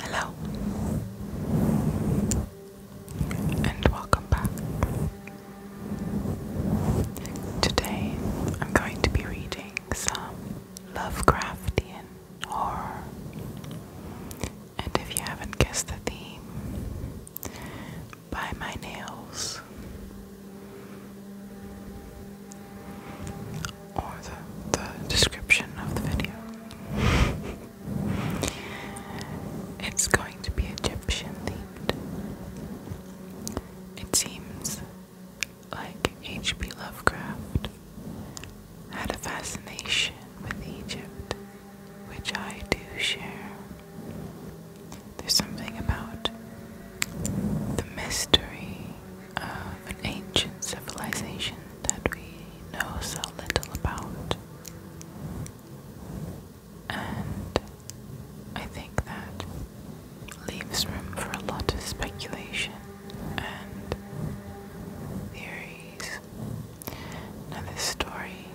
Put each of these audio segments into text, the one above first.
Hello, and welcome back. Today I'm going to be reading some Lovecraftian horror. And if you haven't guessed the theme, by my nails or the, the description of the video. it's going to be Egyptian themed. It seems like H.P. Lovecraft had a fascination with Egypt, which I do share. There's something about the mystery of an ancient civilization that we know so little about. And I think that leaves room for a lot of speculation and theories. Now, this story,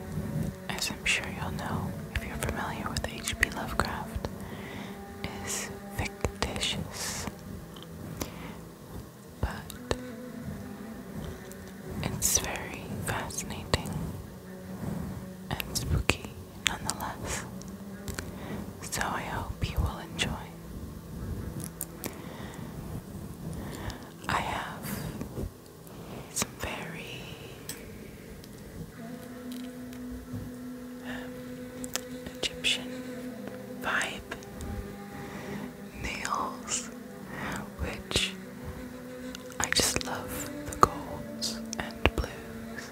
as I'm sure you'll know if you're familiar with H.P. Lovecraft, is fictitious, but it's very fascinating and spooky nonetheless. So I hope you will enjoy. I have some very Egyptian vibe nails, which I just love the golds and blues.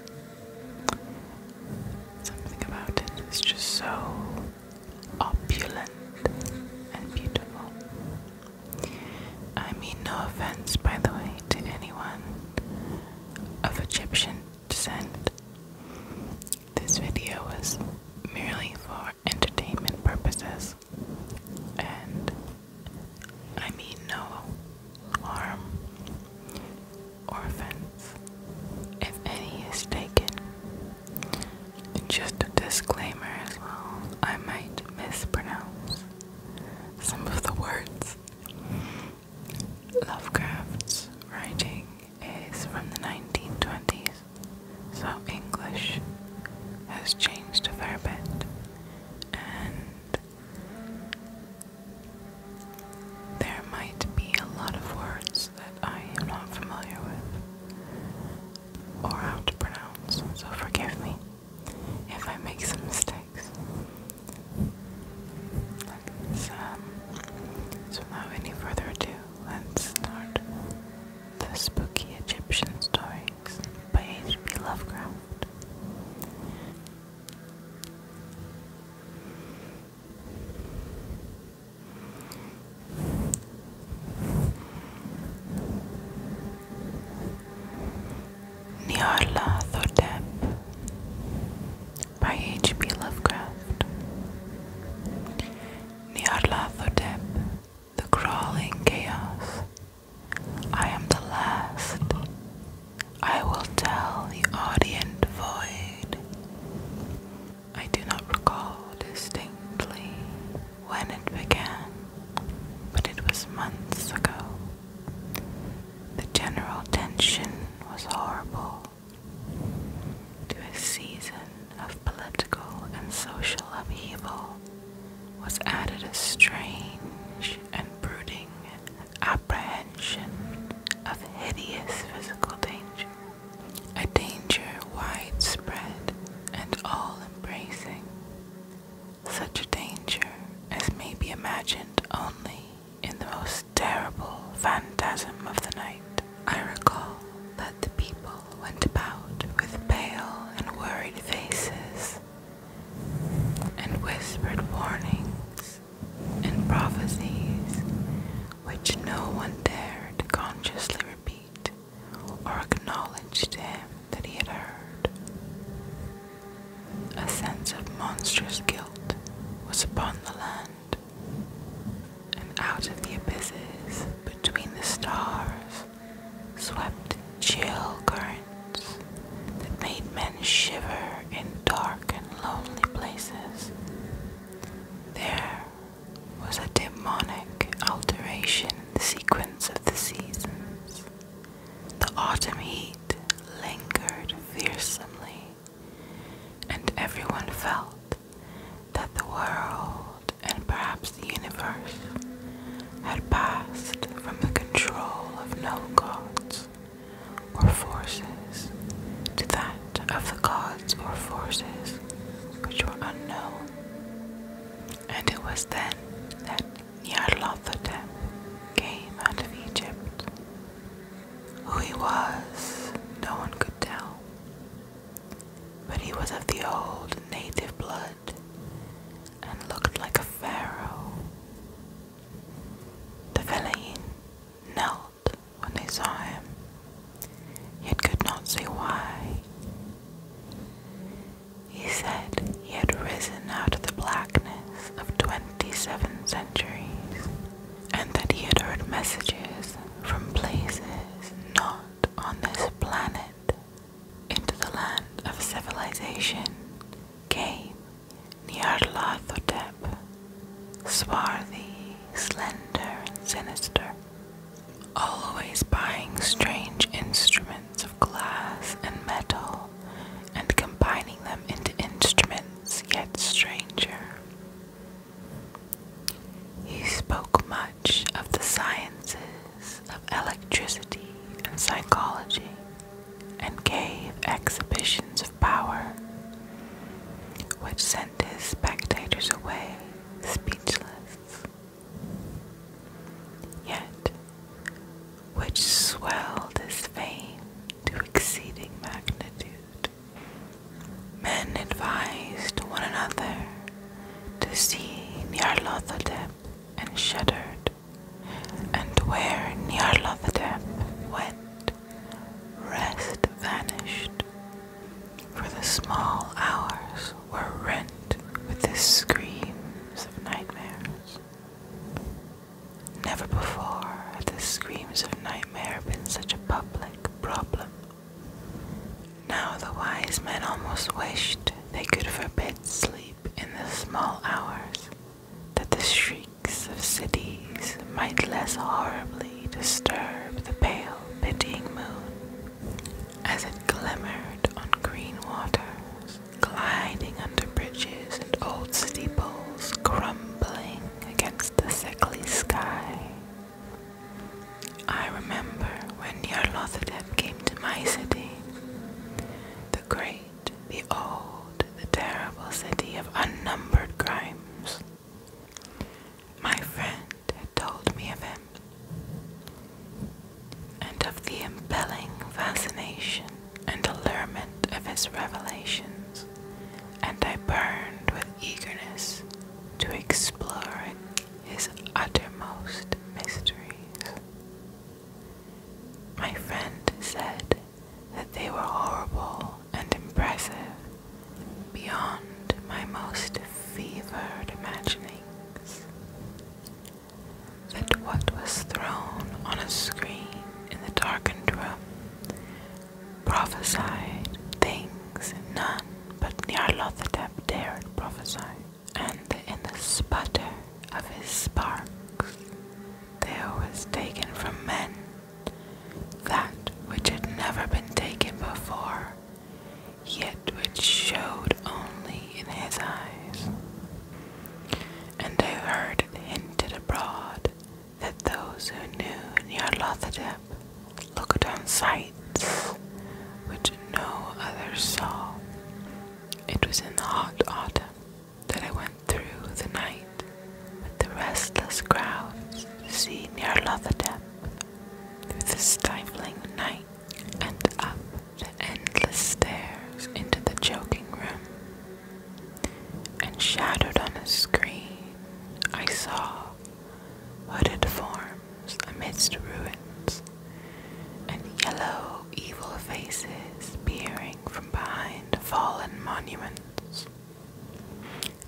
Something about it is just so opulent and beautiful. I mean, no offense, by the way, to anyone of Egyptian descent. This video was merely for entertainment purposes, and I mean no harm or offense if any is taken. Just a disclaimer as well, I might mispronounce some of the words. Lovecraft's writing is from the 1920s, so English has changed a fair bit, and there might be a lot of words that I am not familiar with or how to pronounce, so forgive me if I make some mistakes. Um, so without any further ado, let's start the spooky Egyptian stories by H.P. Lovecraft. Nyarlathotep by H.P. Lovecraft. Nyarlathotep, the crawling chaos. I am the last. I will tell the audience void. I do not recall distinctly when it began, but it was months ago. The general tension was horrible to a season of political and social upheaval was added a strange and brooding apprehension of hideous physical danger, a danger widespread and all embracing, such a danger as may be imagined only in the most terrible phantasm of the night. I recall that the people went about with pale and worried faces and whispered warnings and prophecies which no one dared consciously repeat or acknowledge to him that he had heard. A sense of monstrous guilt was upon the land, and out of the abysses between the stars swept chill currents that made men shiver in dark and lonely places. There was a demonic alteration in the sequence of the seasons. The autumn heat lingered fearsomely, and everyone felt that the world and perhaps the universe had passed from the control of no gods or forces to that of the gods or forces which were unknown. And it was then that Nyarlathotep came out of Egypt who he was, no one could tell. But he was of the old native blood and looked like a pharaoh. The Fellahin knelt when they saw him, He could not say why. He said he had risen out of the blackness of 27 centuries, and that he had heard messages from places not on this planet into the land of civilization came Nyarlathotep, swarthy, slender, and sinister, always buying strange instruments of glass and metal and combining them into instruments yet stranger. He spoke much of the sciences of electricity and psychology and gave exhibitions of power, which sent his spectators away speechless. Yet, which swelled his fame to exceeding magnitude. Men advised one another to see Nyarlathotep and shuddered, and where Nyarlathotep went, rest vanished, for the small hours were rent with the screams of nightmares. Never before had the screams of nightmare been such a public problem. Now the wise men almost wished they could forbid sleep in the small hours, that the shrieks of cities might less horribly disturb the pale, pitying moon as it glimmered on green waters, gliding under bridges and old steeples crumbling against the sickly sky. I remember when Nyarlathotep came to my city, the great, the old, the terrible city of unnumbered crimes. My friend had told me of him, and of the impelling fascination and allurement of his revelations, and I burned with eagerness to explore his uttermost mysteries. My friend said that they were horrible and impressive beyond my most fevered imaginings. That what was thrown on a screen in the darkened room prophesied things none but Nyarlathotep dared prophesy, and in the sputter of his sparks there was taken from men that which had never been taken before, yet which showed only in his eyes. And I heard it hinted abroad that those who knew near Nyarlathotep looked on sights which no others saw. It was in the hot autumn that I went through the night with the restless crowds to see Nyarlathotep through the stifling night and up the endless stairs into the choking room and shadowed on a screen, I saw hooded forms amidst ruins and yellow, evil faces peering from behind fallen monuments.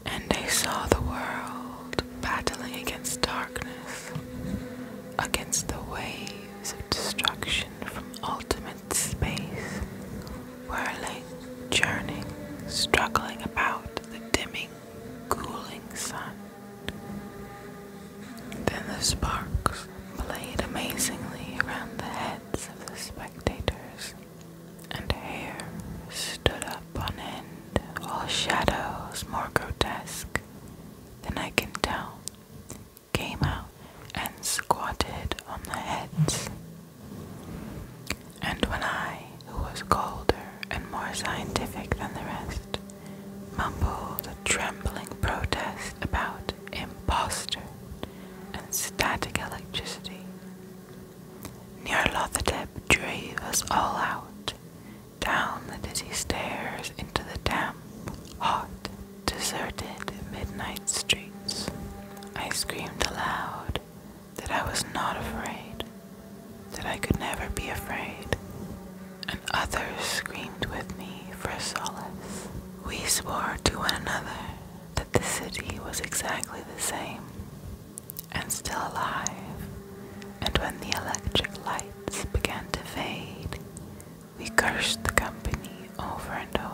And I saw the world battling against darkness, against the waves of destruction from ultimate space whirling, churning, struggling about the dimming, cooling sun. Then the sparks played amazingly around the heads of the spectators, and hair stood up on end, all shadows more grotesque than I can tell came out and squatted on the heads and when I, who was colder and more scientific than the rest, mumbled a trembling protest about impostor and static electricity, Nyarlathotep drave us all out, down the dizzy stairs into the damp, hot, deserted midnight streets. I screamed aloud that I was not afraid, that I could never be afraid, and others screamed with me for solace. We swore to one another that the city was exactly the same and still alive, and when the electric lights began to fade, we cursed the company over and over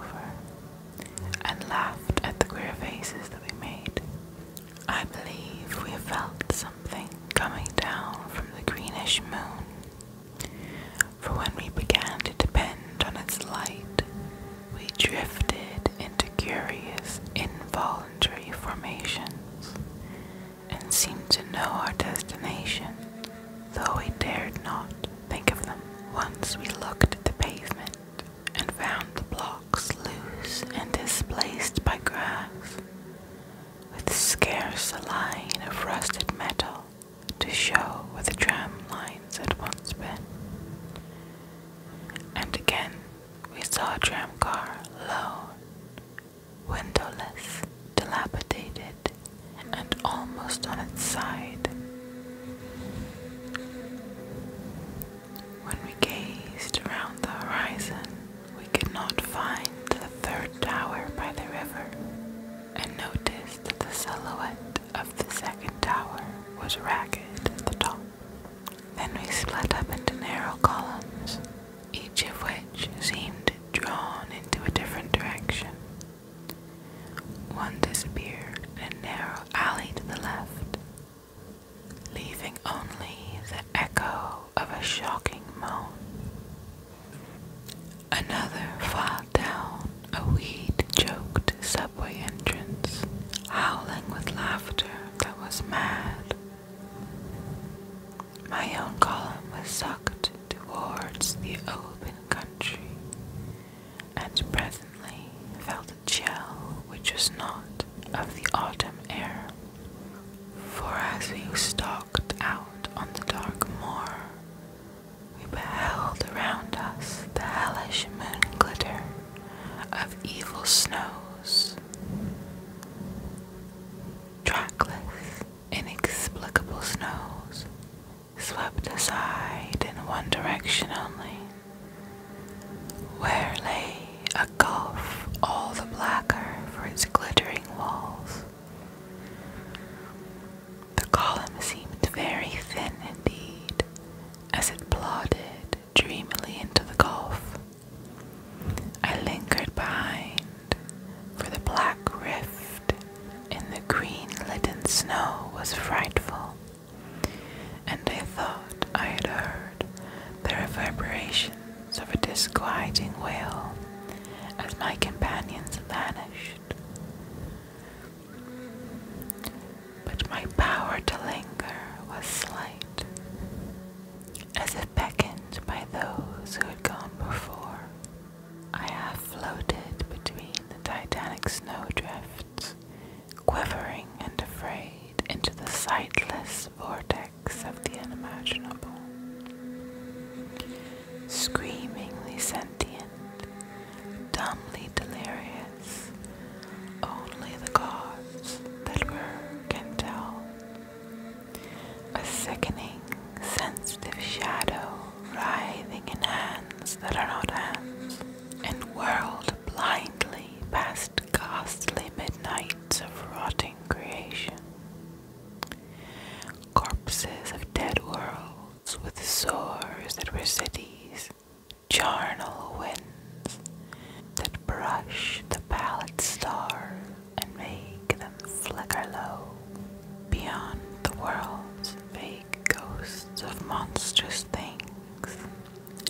and laughed at the queer faces that we made. I believe we felt something coming down from the greenish moon, for when we began to depend on its light, we drifted into curious, involuntary formations and seemed to know our destination, though we dared not think of them. Once we looked at the pavement and found the blocks loose and displaced by grass, with scarce a line of rusted metal to show where the tram lines had once been. And again we saw a tramcar lone, windowless, dilapidated, and almost on its side, when we gazed around the horizon, we could not find the third tower by the river, and noticed that the silhouette of the second tower was ragged at the top. Then we split up into narrow columns, each of which seemed drawn into a different direction. One disappeared in a narrow alley to the left, leaving only the echo of a shocking moan. Another filed down a weed choked subway entrance, howling with laughter that was mad. My own column was sucked towards the open country, and presently felt a chill which was not of the autumn air. For as we stalked out on the dark moor, we beheld around us the hellish moon glitter of evil snows, trackless, inexplicable snows, swept aside in one direction only, where lay a gulf all the blacker for its glittering walls. The column seemed very thin indeed as it plodded dreamily into the gulf. I lingered behind for the black rift in the green litten snow was frightful and I thought I had heard the reverberations of a disquieting wail as my companions vanished. But my power to linger was slight, as if beckoned by those who had gone before. I half floated between the titanic snowdrifts quivering and afraid into the sightless vortex of the unimaginable. Screamingly sentient, dumbly delirious, only the gods that were can tell. A sickening, sensitive shadow writhing in hands that are not hands, and world blindly past ghastly midnights of rotting creation. Corpses of dead worlds with sores that were cities, charnel winds that brush the pallid stars and make them flicker low. Beyond the worlds, vague ghosts of monstrous things,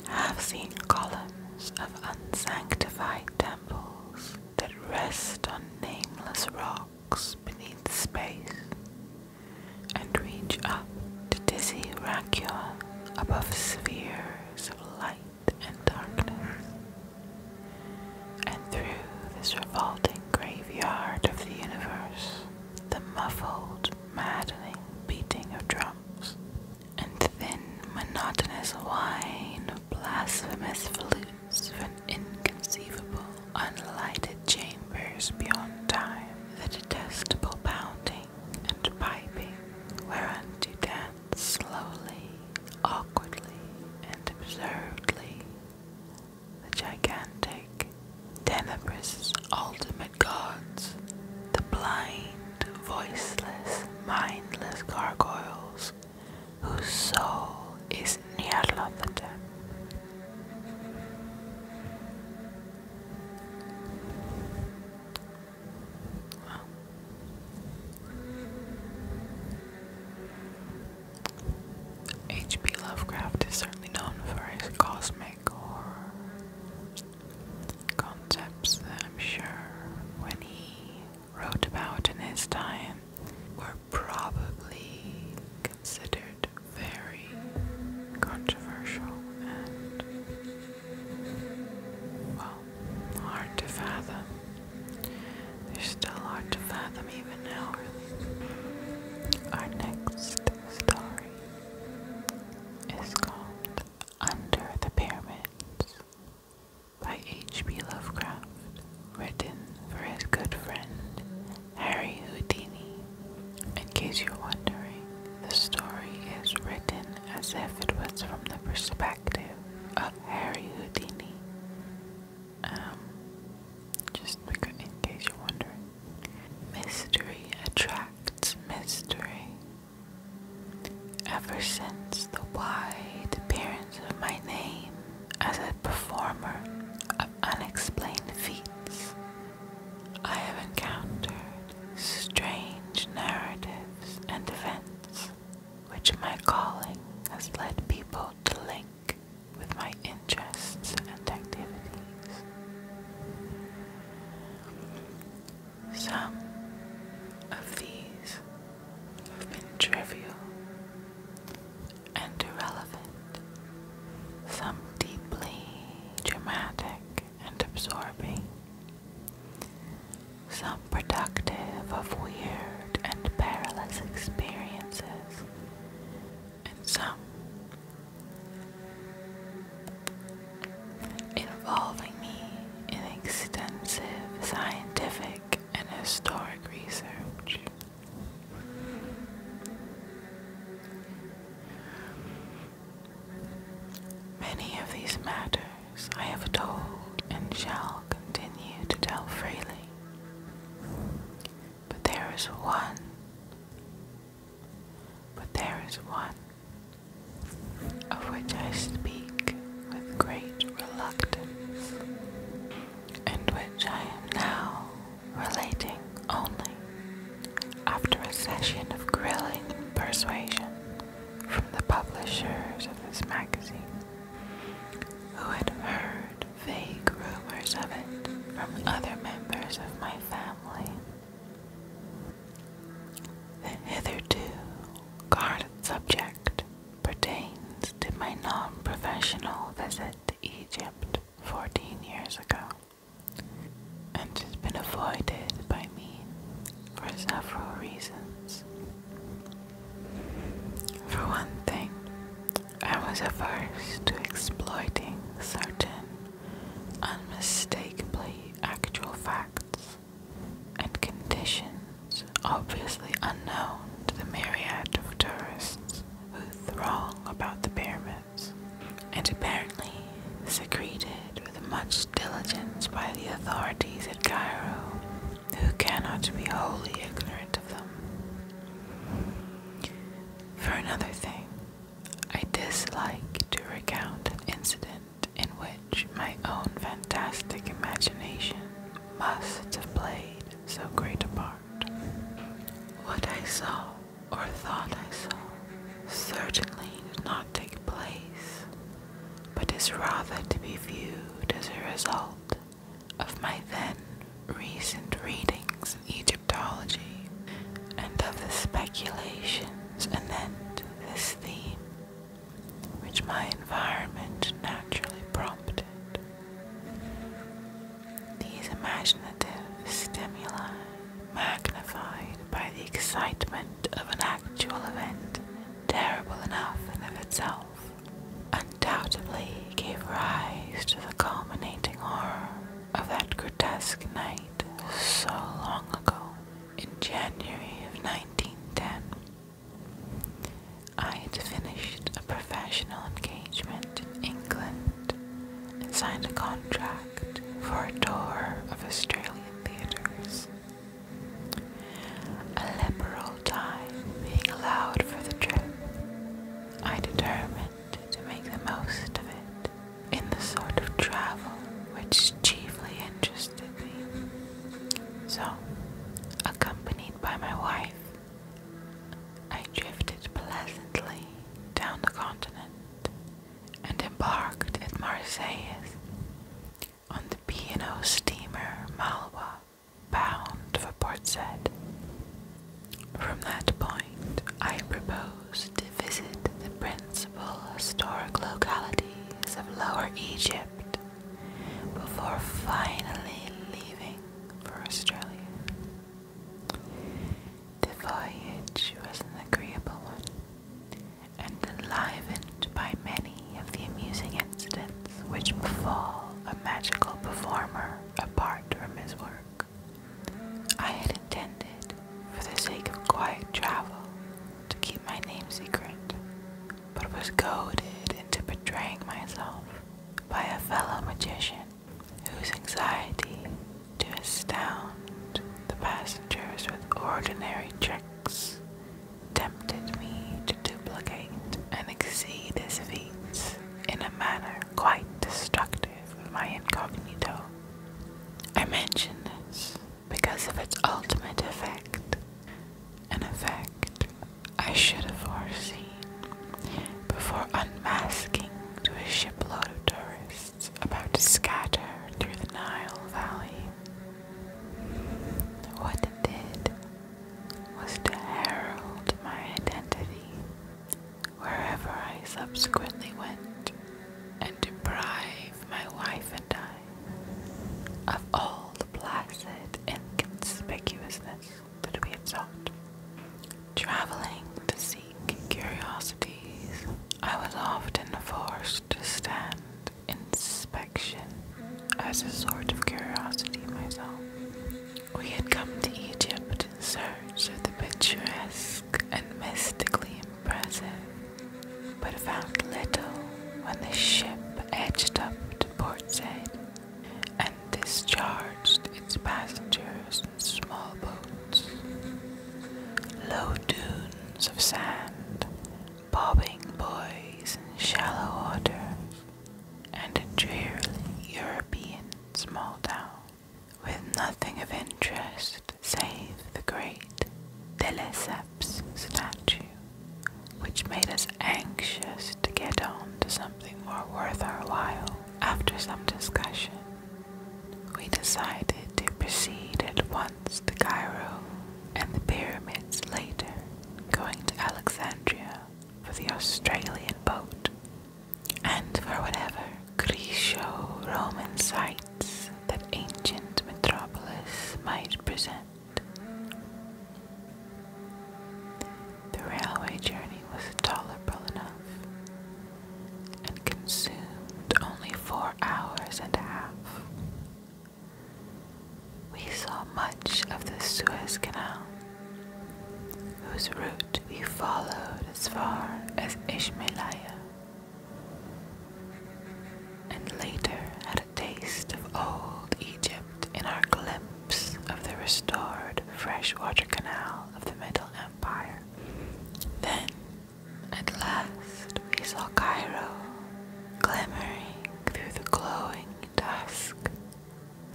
have seen columns of unsanctified temples that rest on nameless rocks beneath space and reach up to dizzy Racula above spheres of light and darkness. And through this revolting graveyard of the universe, the muffled maddening beating of drums, and thin, monotonous whine of blasphemous flutes from inconceivable, unlighted chambers beyond time, the detestable pounding and piping to dance slowly, awkwardly, and absurdly the gigantic Tenebrous ultimate gods, the blind, voiceless, mindless gargoyles, whose soul is Nyarlathotep. Well. H.P. Lovecraft is certainly known for his cosmic horror concepts that I'm sure when he wrote about in his time were probably considered very controversial and, well, hard to fathom. They're still hard to fathom even now, Our next story is called under the Pyramids by H.P. Lovecraft, written for his good friend Harry Houdini. In case you're wondering, the story is written as if it was from the perspective of Harry Houdini. Um, just in case you're wondering, mystery attracts mystery. Ever since the wide appearance of my name as a performer of unexplained feats, I have encountered strange narratives and events which my calling has led people to link with my interests and activities. Some of these have been trivial and irrelevant, some deeply dramatic and absorbing, some productive of weird and perilous experiences, and some involving me in extensive scientific and historic research. Many of these matters I have told and shall continue to tell freely, but there is one, but there is one of which I speak with great reluctance, and which I am now relating only after a session of grilling persuasion from the publishers of this magazine, who had heard vague rumors of it from other members of my family. The hitherto guarded subject pertains to my non professional visit to Egypt 14 years ago and has been avoided by me for several reasons. For one thing, I was averse to exploiting certain unmistakably actual facts and conditions obviously unknown to the myriad of tourists who throng about the pyramids, and apparently secreted with much diligence by the authorities at Cairo, who cannot be wholly ignorant of them. For another thing, I dislike to recount an incident in which my own fantastic imagination must have played so great a part. What I saw, or thought I saw, certainly did not take place, but is rather to be viewed as a result of my then recent readings in Egyptology and of the speculation and then this theme, which my environment naturally prompted. These imaginative stimuli, magnified by the excitement of an actual event, terrible enough in itself, undoubtedly gave rise to the culminating horror of that grotesque night so long ago. In January of 1910, I had finished a professional engagement in England and signed a contract for a tour of Australian theatres. A liberal time being allowed for the trip, I determined to make the most of it in the sort of travel which chiefly interested me. So, accompanied by my wife, I drifted pleasantly down the continent and embarked at Marseilles on the P&O steamer Malwa, bound for Port Said. From that point, I proposed to visit the principal historic localities of Lower Egypt before finally leaving for Australia. The voyage was an agreeable one and enlivened by many of the amusing incidents which befall a magical performer apart from his work. I had intended, for the sake of quiet travel, to keep my name secret, but was goaded into betraying myself by a fellow magician whose anxiety to astound the passengers with ordinary tricks tempted me to duplicate and exceed his feats in a manner quite destructive of my incognito. I mention this because of its ultimate effect. An effect I should have foreseen before unmasking to a shipload of tourists about to scatter through the Nile Valley. What it did was to herald my identity wherever I subsequently went and deprive my wife and I of all the placid inconspicuousness that we had Traveling to seek curiosities, I was often forced to stand inspection as a sort of curiosity myself. We had come to Egypt in search of the picturesque and mystically impressive, but found little when the ship edged up to port side and discharged its passengers in small boats. Low dunes of sand, bobbing buoys in shallow water, and a drearily European small town with nothing of interest save the great Teleseps statue, which made us anxious to get on to something more worth our while. After some discussion, we decided to proceed at once to Cairo and the pyramids later, going to Alexandria for the Australian boat and for whatever Greco Roman site that ancient metropolis might present. The railway journey was tolerable enough and consumed only four hours and a half. We saw much of the Suez Canal, whose route we followed as far as Ismailia and later had a taste of old Egypt in our glimpse of the restored freshwater canal of the Middle Empire. Then, at last, we saw Cairo glimmering through the glowing dusk,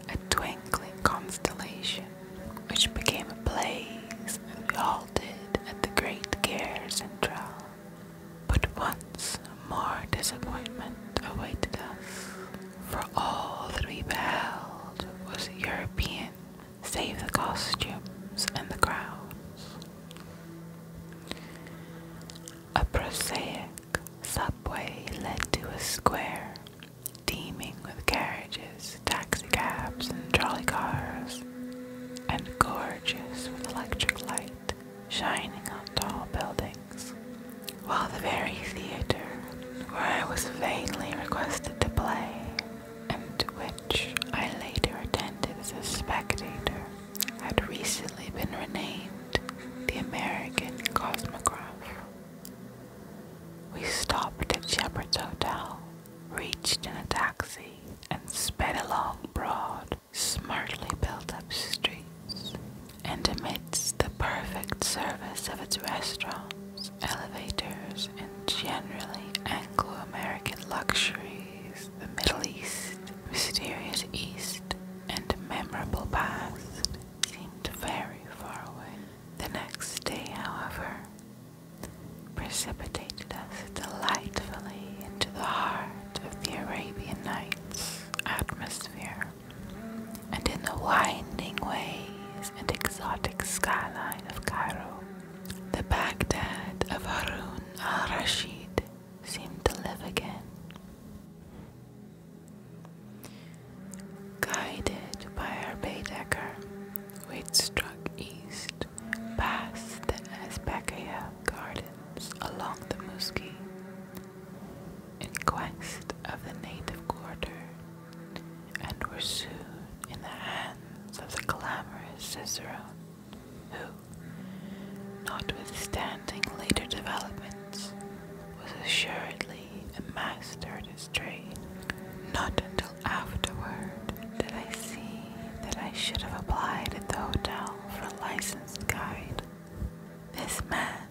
a twinkling constellation which became a blaze as we halted at the great care centrale. But once more disappointment awaited us, for all that we beheld was European, save the costumes and the crowds. A prosaic subway led to a square, teeming with carriages, taxicabs, and trolley cars, and gorgeous with electric lights shining on tall buildings, while the very theater where I was vainly requested to play, and to which I later attended as a spectator, had recently been renamed the American Cosmograph. We stopped at Shepard's Hotel, reached in a taxi, and sped along Broad smartly built up streets, and amidst the perfect service of its restaurants, elevators, and generally Anglo American luxuries, the Middle East, mysterious East, and memorable past seemed very far away. The next day, however, precipitated us delightfully into the heart of the Arabian Nights atmosphere, and in the winding ways and exotic skyline of Cairo, the Baghdad of Harun al Rashid seemed to live again. Guided by our Baedeker, we struck east past the Azbekaya gardens along the Muski in quest of the native quarter and were soon in the hands of the glamorous Cicerone who, notwithstanding later developments, was assuredly a master at his trade. Not until afterward did I see that I should have applied at the hotel for a licensed guide. This man,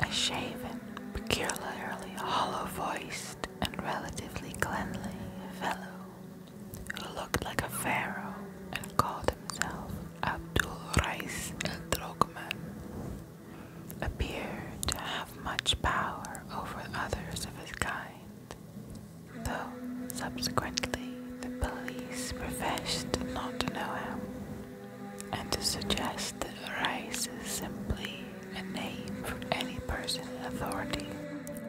a shaven, peculiarly hollow voiced, and relatively cleanly fellow, who looked like a pharaoh and called himself Abdul Rais El Drogman, appeared to have much power over others of his kind though subsequently the police professed not to know him and to suggest that Rice is simply a name for any person in authority.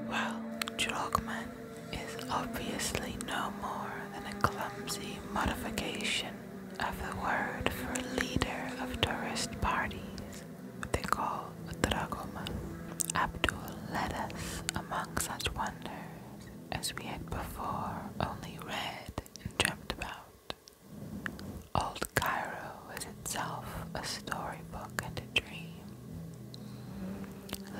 Well, Dragoman is obviously no more than a clumsy modification of the word for leader of tourist parties, what they call a Dragoman. Abdul led us among such wonders as we had before only read and dreamt about. Old Cairo was itself a storybook and a dream.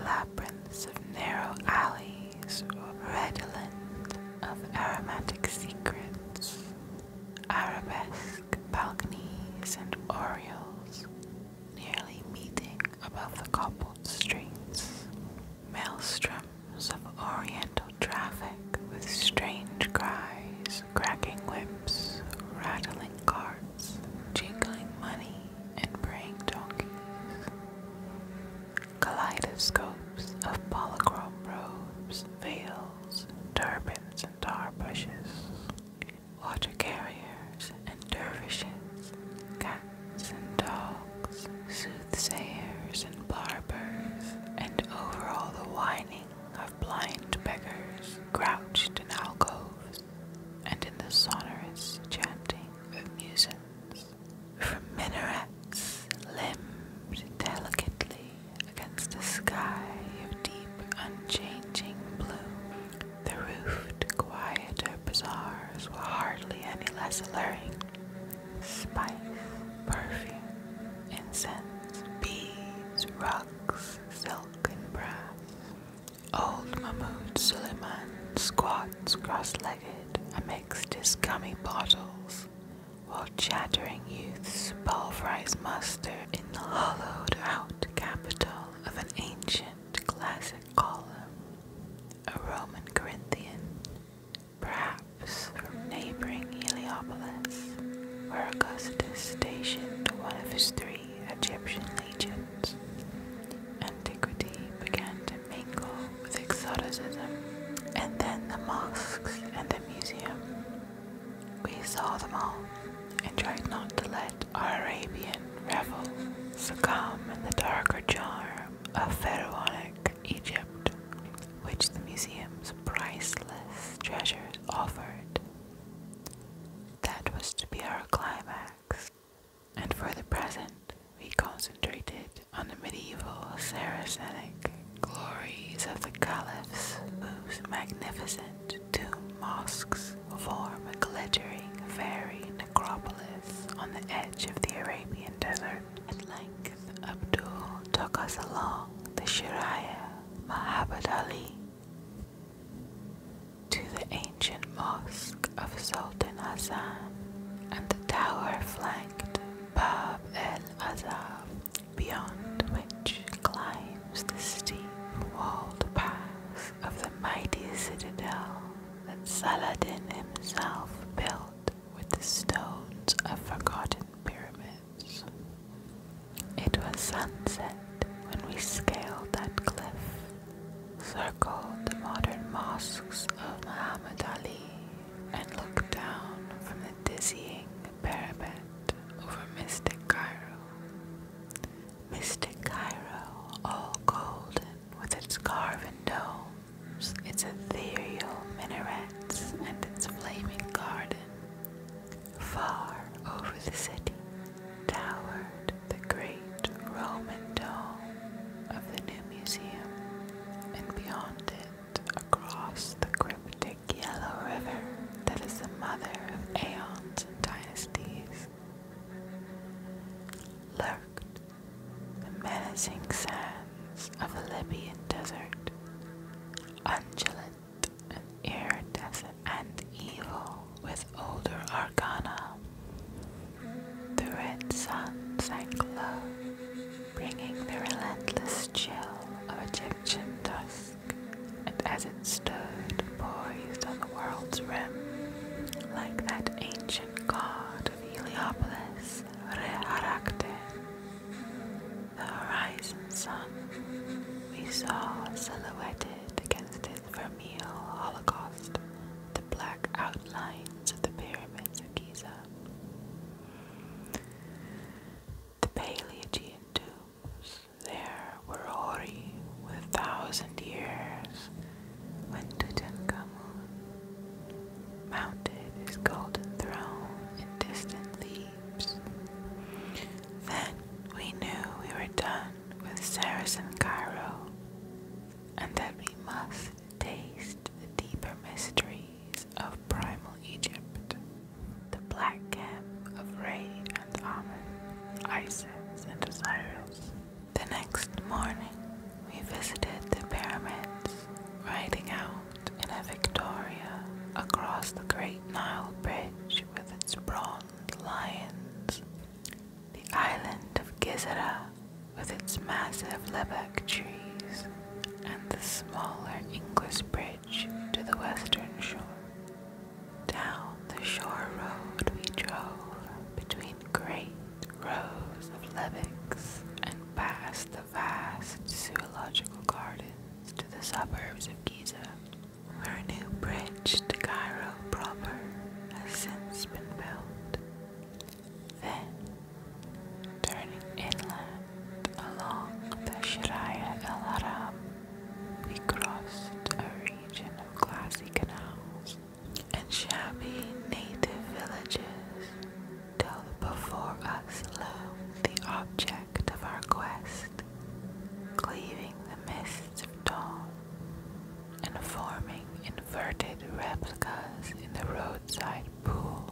Labyrinths of narrow alleys redolent of aromatic secrets, arabesque balconies and oriels nearly meeting above the cobbled streets. Maelstroms of oriental traffic with strange cries, cracking whips, rattling carts, jingling money, and braying donkeys. Kaleidoscopes of polychrome robes, veils, turbans, and tar bushes. Water carriers and dervishes, and dogs, soothsayers and barbers, and over all the whining of blind beggars crouched in alcoves, and in the sonorous chanting of musicians. From minarets limbed delicately against a sky of deep unchanging blue, the roofed, quieter bazaars were hardly any less alluring. Spice, perfume, incense, beads, rugs, silk, and brass. Old Mahmoud Suleiman squats cross-legged amidst his gummy bottles, while chattering youths pulverize mustard in the hollowed-out capital of an ancient classic column a Roman Corinthian, perhaps from neighboring Heliopolis, where Augustus stationed one of his three Egyptian legions. Antiquity began to mingle with exoticism, and then the mosques and the museum. We saw them all and tried not to let our Arabian revel succumb in the darker jar of pharaonic Egypt, which the museum's priceless treasures offered. That was to be our climax, and for the present, we concentrated on the medieval Saracenic glories of the caliphs, whose magnificent tomb mosques form a glittering fairy necropolis on the edge of the Arabian desert. At length, Abdul took us along the Shiraya Mahabad to the ancient mosque of Sultan Hassan and the tower flanked Bab el Azab, beyond which climbs the steep walled pass of the mighty citadel that Saladin himself built with the stones of forgotten pyramids. It was sunset when we scaled that cliff, circled the modern mosques of Muhammad Ali, and looked down from the dizzying parapet over mystic Cairo. Mystic Cairo, all golden with its carven domes, its ethereal minarets, and its flaming garden. Far over the city towered the great Roman dome of the new museum, and beyond it, across the cryptic yellow river that is the mother of aeons and dynasties, lurked the menacing sands of the Libyan desert, undulant and air desert and evil with older arcana. The red sun sank low, bringing the relentless chill of Egyptian dusk, and as it stood poised on the world's rim, like that ancient god of Heliopolis, Reharakte, the horizon sun we saw silhouetted against his vermeil holocaust the black outlines of the pyramids of Giza. The Paleogean tombs there were hoary with a thousand years when Tutankhamun mounted his golden throne in distant Thebes. Then we knew we were done with Saracen Cairo and that we must taste the deeper mysteries of primal Egypt, the black camp of Ray and Amen, Isis and Osiris. The next morning, we visited the pyramids, riding out in a Victoria across the Great Nile Bridge with its bronze lions. The island of Gizera with its massive lebbek trees and the smaller English bridge to the western shore. Down the shore road we drove between great rows of lebbeks and past the vast zoological gardens to the suburbs of Giza. where a new bridge to Cairo proper has since been built. Then, turning inland along the Shiraya El Haram, we crossed a region of glassy canals and shabby native villages till before us loomed the object of our quest, cleaving the mists of dawn and forming inverted replicas in the roadside pool.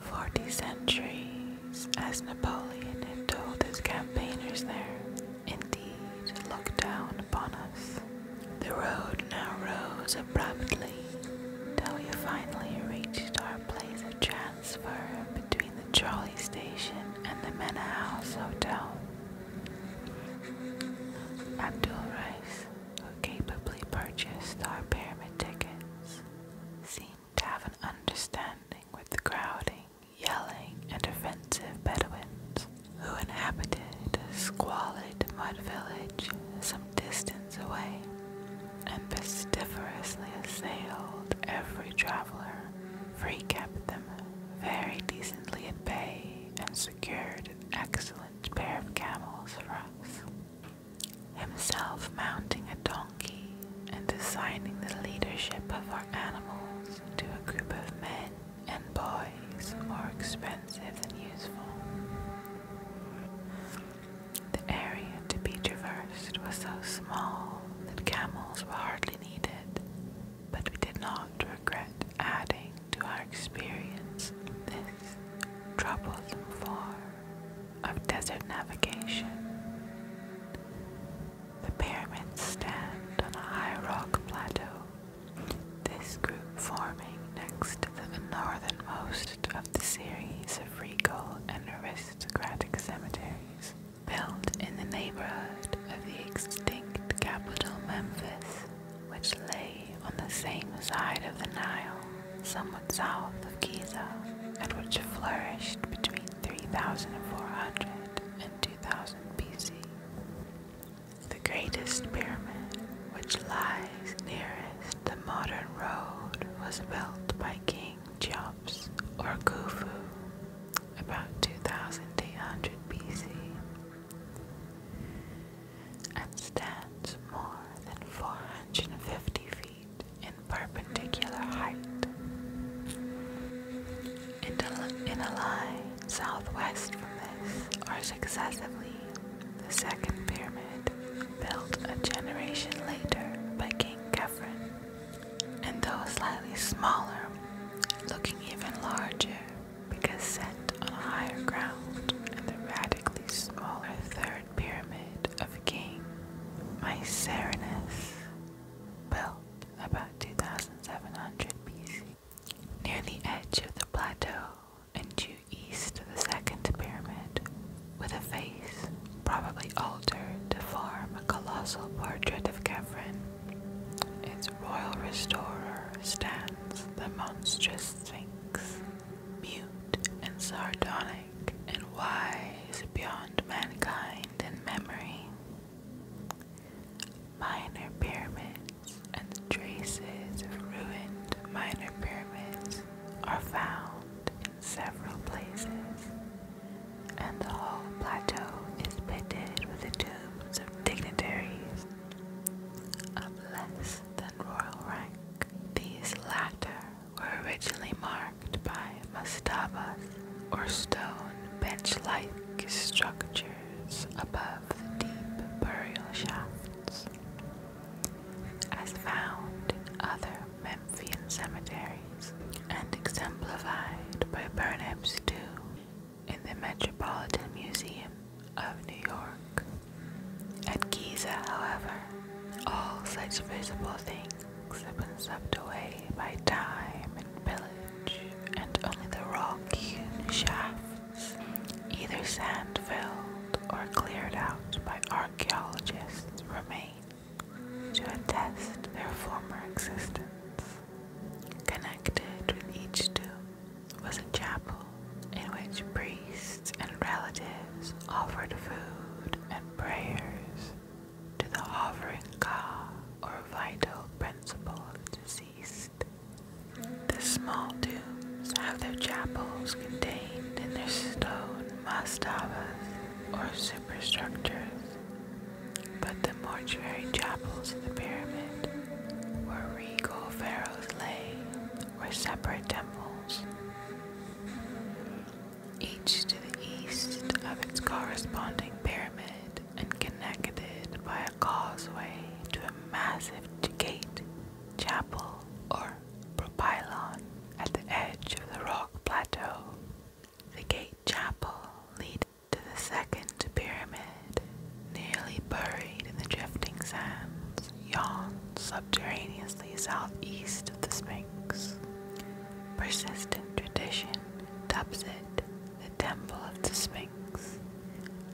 Forty centuries, as Napoleon had told his campaigners there, indeed looked down upon us. The road now rose abruptly till we finally reached our place of transfer between the trolley station and the Manor House Hotel. Abdul Rice, who capably purchased our pyramid tickets, seemed to have an understanding with the crowding, yelling, and offensive Bedouins who inhabited a squalid mud village some distance away and pestiferously assailed every traveler, for he kept them very decently at bay and secured an excellent pair of camels for us. Himself mounting a donkey and assigning the leadership of our animals to a group of men and boys more expensive than useful. The area to be traversed was so small that camels were hardly needed, but we did not regret adding to our experience this troublesome form of desert navigation. The pyramids stand on a high rock plateau this group forming next to the northernmost of the series of regal and aristocratic cemeteries built in the neighborhood of the extinct capital Memphis, which lay on the same side of the Nile, somewhat south of Giza, and which flourished between 3400 and 2000 BC the greatest pyramid, which lies nearest the modern road, was built by King Cheops or Khufu about 2800 BC and stands more than 450 feet in perpendicular height. In a, line southwest from this are excessively. The second pyramid, built a generation later by King Kefren, and though slightly smaller, looking even larger because set on a higher ground, and the radically smaller third pyramid of King Mycerinus, built about 2700 BC. Near the edge of the plateau and due east of the second pyramid, with a face probably altered to form a colossal portrait of Kefren, its royal restorer stands the monstrous Sphinx, mute and sardonic and wise beyond mankind and memory minor pyramids and traces of ruined minor pyramids are found in several places, and the whole plateau is pitted with the tombs of dignitaries of less than royal rank. These latter were originally marked by mastabas or stone bench-like structures above the deep burial shafts. As found in other Memphian cemeteries and exemplified by Burnap's tomb in the Metropolitan Museum of New York. At Giza, however, all such visible things have been swept away by time and pillage, and only the rock-hewn shaft either sand filled or cleared out by archaeologists, remain to attest their former existence. Connected with each tomb was a chapel in which priests and relatives offered food and prayers to the hovering Ka or vital principle of disease. The small tombs have their chapels contained in their stone mastabas or superstructures, but the mortuary chapels of the pyramid, where regal pharaohs lay, were separate temples, each to the east of its corresponding pyramid and connected by a causeway to a massive gate, chapel, or propylon at the edge of the rock plateau. The gate chapel leads to the second pyramid, nearly buried in the drifting sands, yawn subterraneously southeast of the Sphinx. Persistent tradition dubs it the Temple of the Sphinx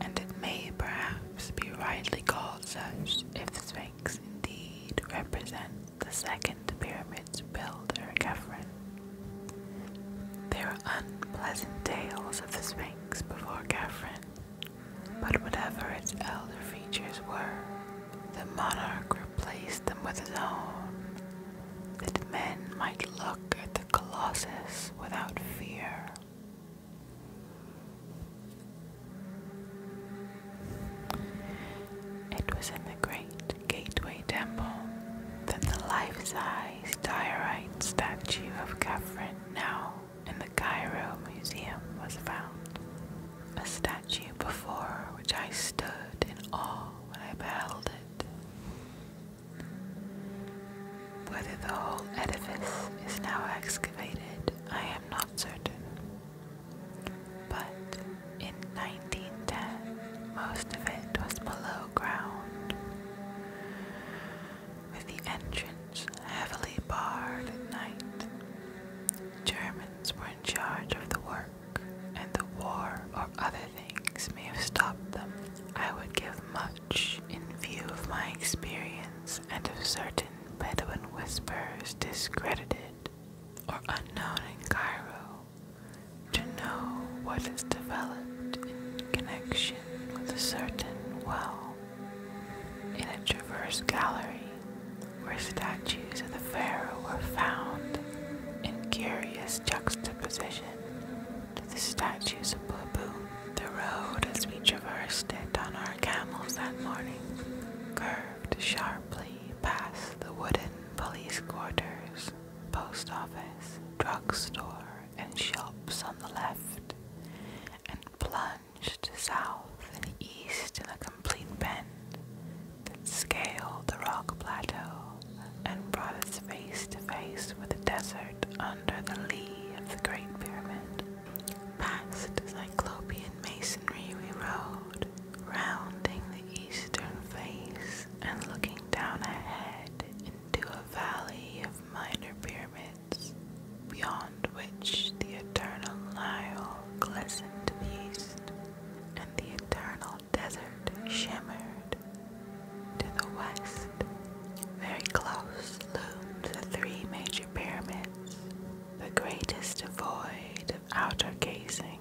and it may perhaps be rightly called such if the sphinx indeed represents the second pyramid's builder, Khephren. There are unpleasant tales of the sphinx before Khephren, but whatever its elder features were, the monarch replaced them with his own, that men might look at the colossus without fear. It was in the great Gateway Temple that the life size diorite statue of Catherine, now in the Cairo Museum, was found. A statue before which I stood in awe when I beheld it. Whether the whole edifice is now excavated, I am not certain. But in 1910, most of it was below ground, with the entrance heavily barred at night. Germans were in charge of the work, and the war or other things may have stopped them. I would give much in view of my experience and of certain Bedouin whispers discredited or unknown in Cairo, to know what is developed in connection with a certain well in a traverse gallery where statues of the pharaoh were found in curious juxtaposition to the statues of Baboon. The road, as we traversed it on our camels that morning, curved sharply past the wooden police quarters, post office, drugstore, and shops on the left, and plunged south and east in a complete bend that scaled the rock plateau and brought us face to face with the desert under the lee of the Great Pyramid. Past Cyclopean masonry we rode, rounding the eastern face and looking down ahead into a valley of minor pyramids, beyond which the eternal Nile glistened to the east, and the eternal desert shimmered. To the west, very close loomed the three major pyramids, the greatest devoid of outer casing,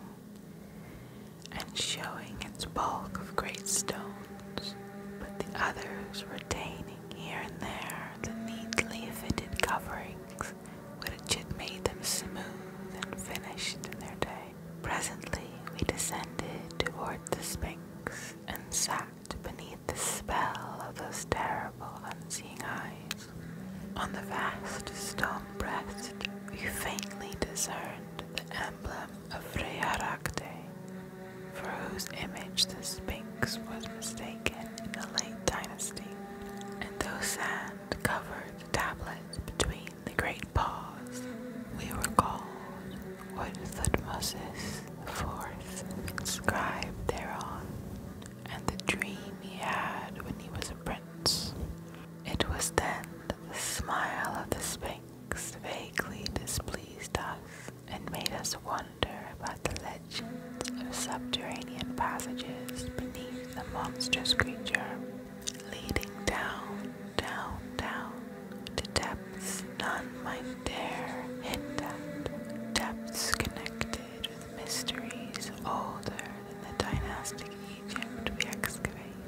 and showing its bulk of great stones, but the others retaining here and there the neatly fitted coverings which had made them smooth and finished in their day. Presently we descended toward the Sphinx and sat beneath the spell of those terrible unseeing eyes. On the vast stone breast, you faintly discerned the emblem of Freyarakte, for whose image the Sphinx was mistaken in the late dynasty. And those sand-covered tablets between the great paws, we were called wood thutmoses. Fourth, scribe thereon, and the dream he had when he was a prince. It was then the smile of the Sphinx vaguely displeased us and made us wonder about the legends of subterranean passages beneath the monstrous creature, leading down, down, down to depths depths, none might dare hit Depths connected with mysteries older than the dynastic Egypt we excavate,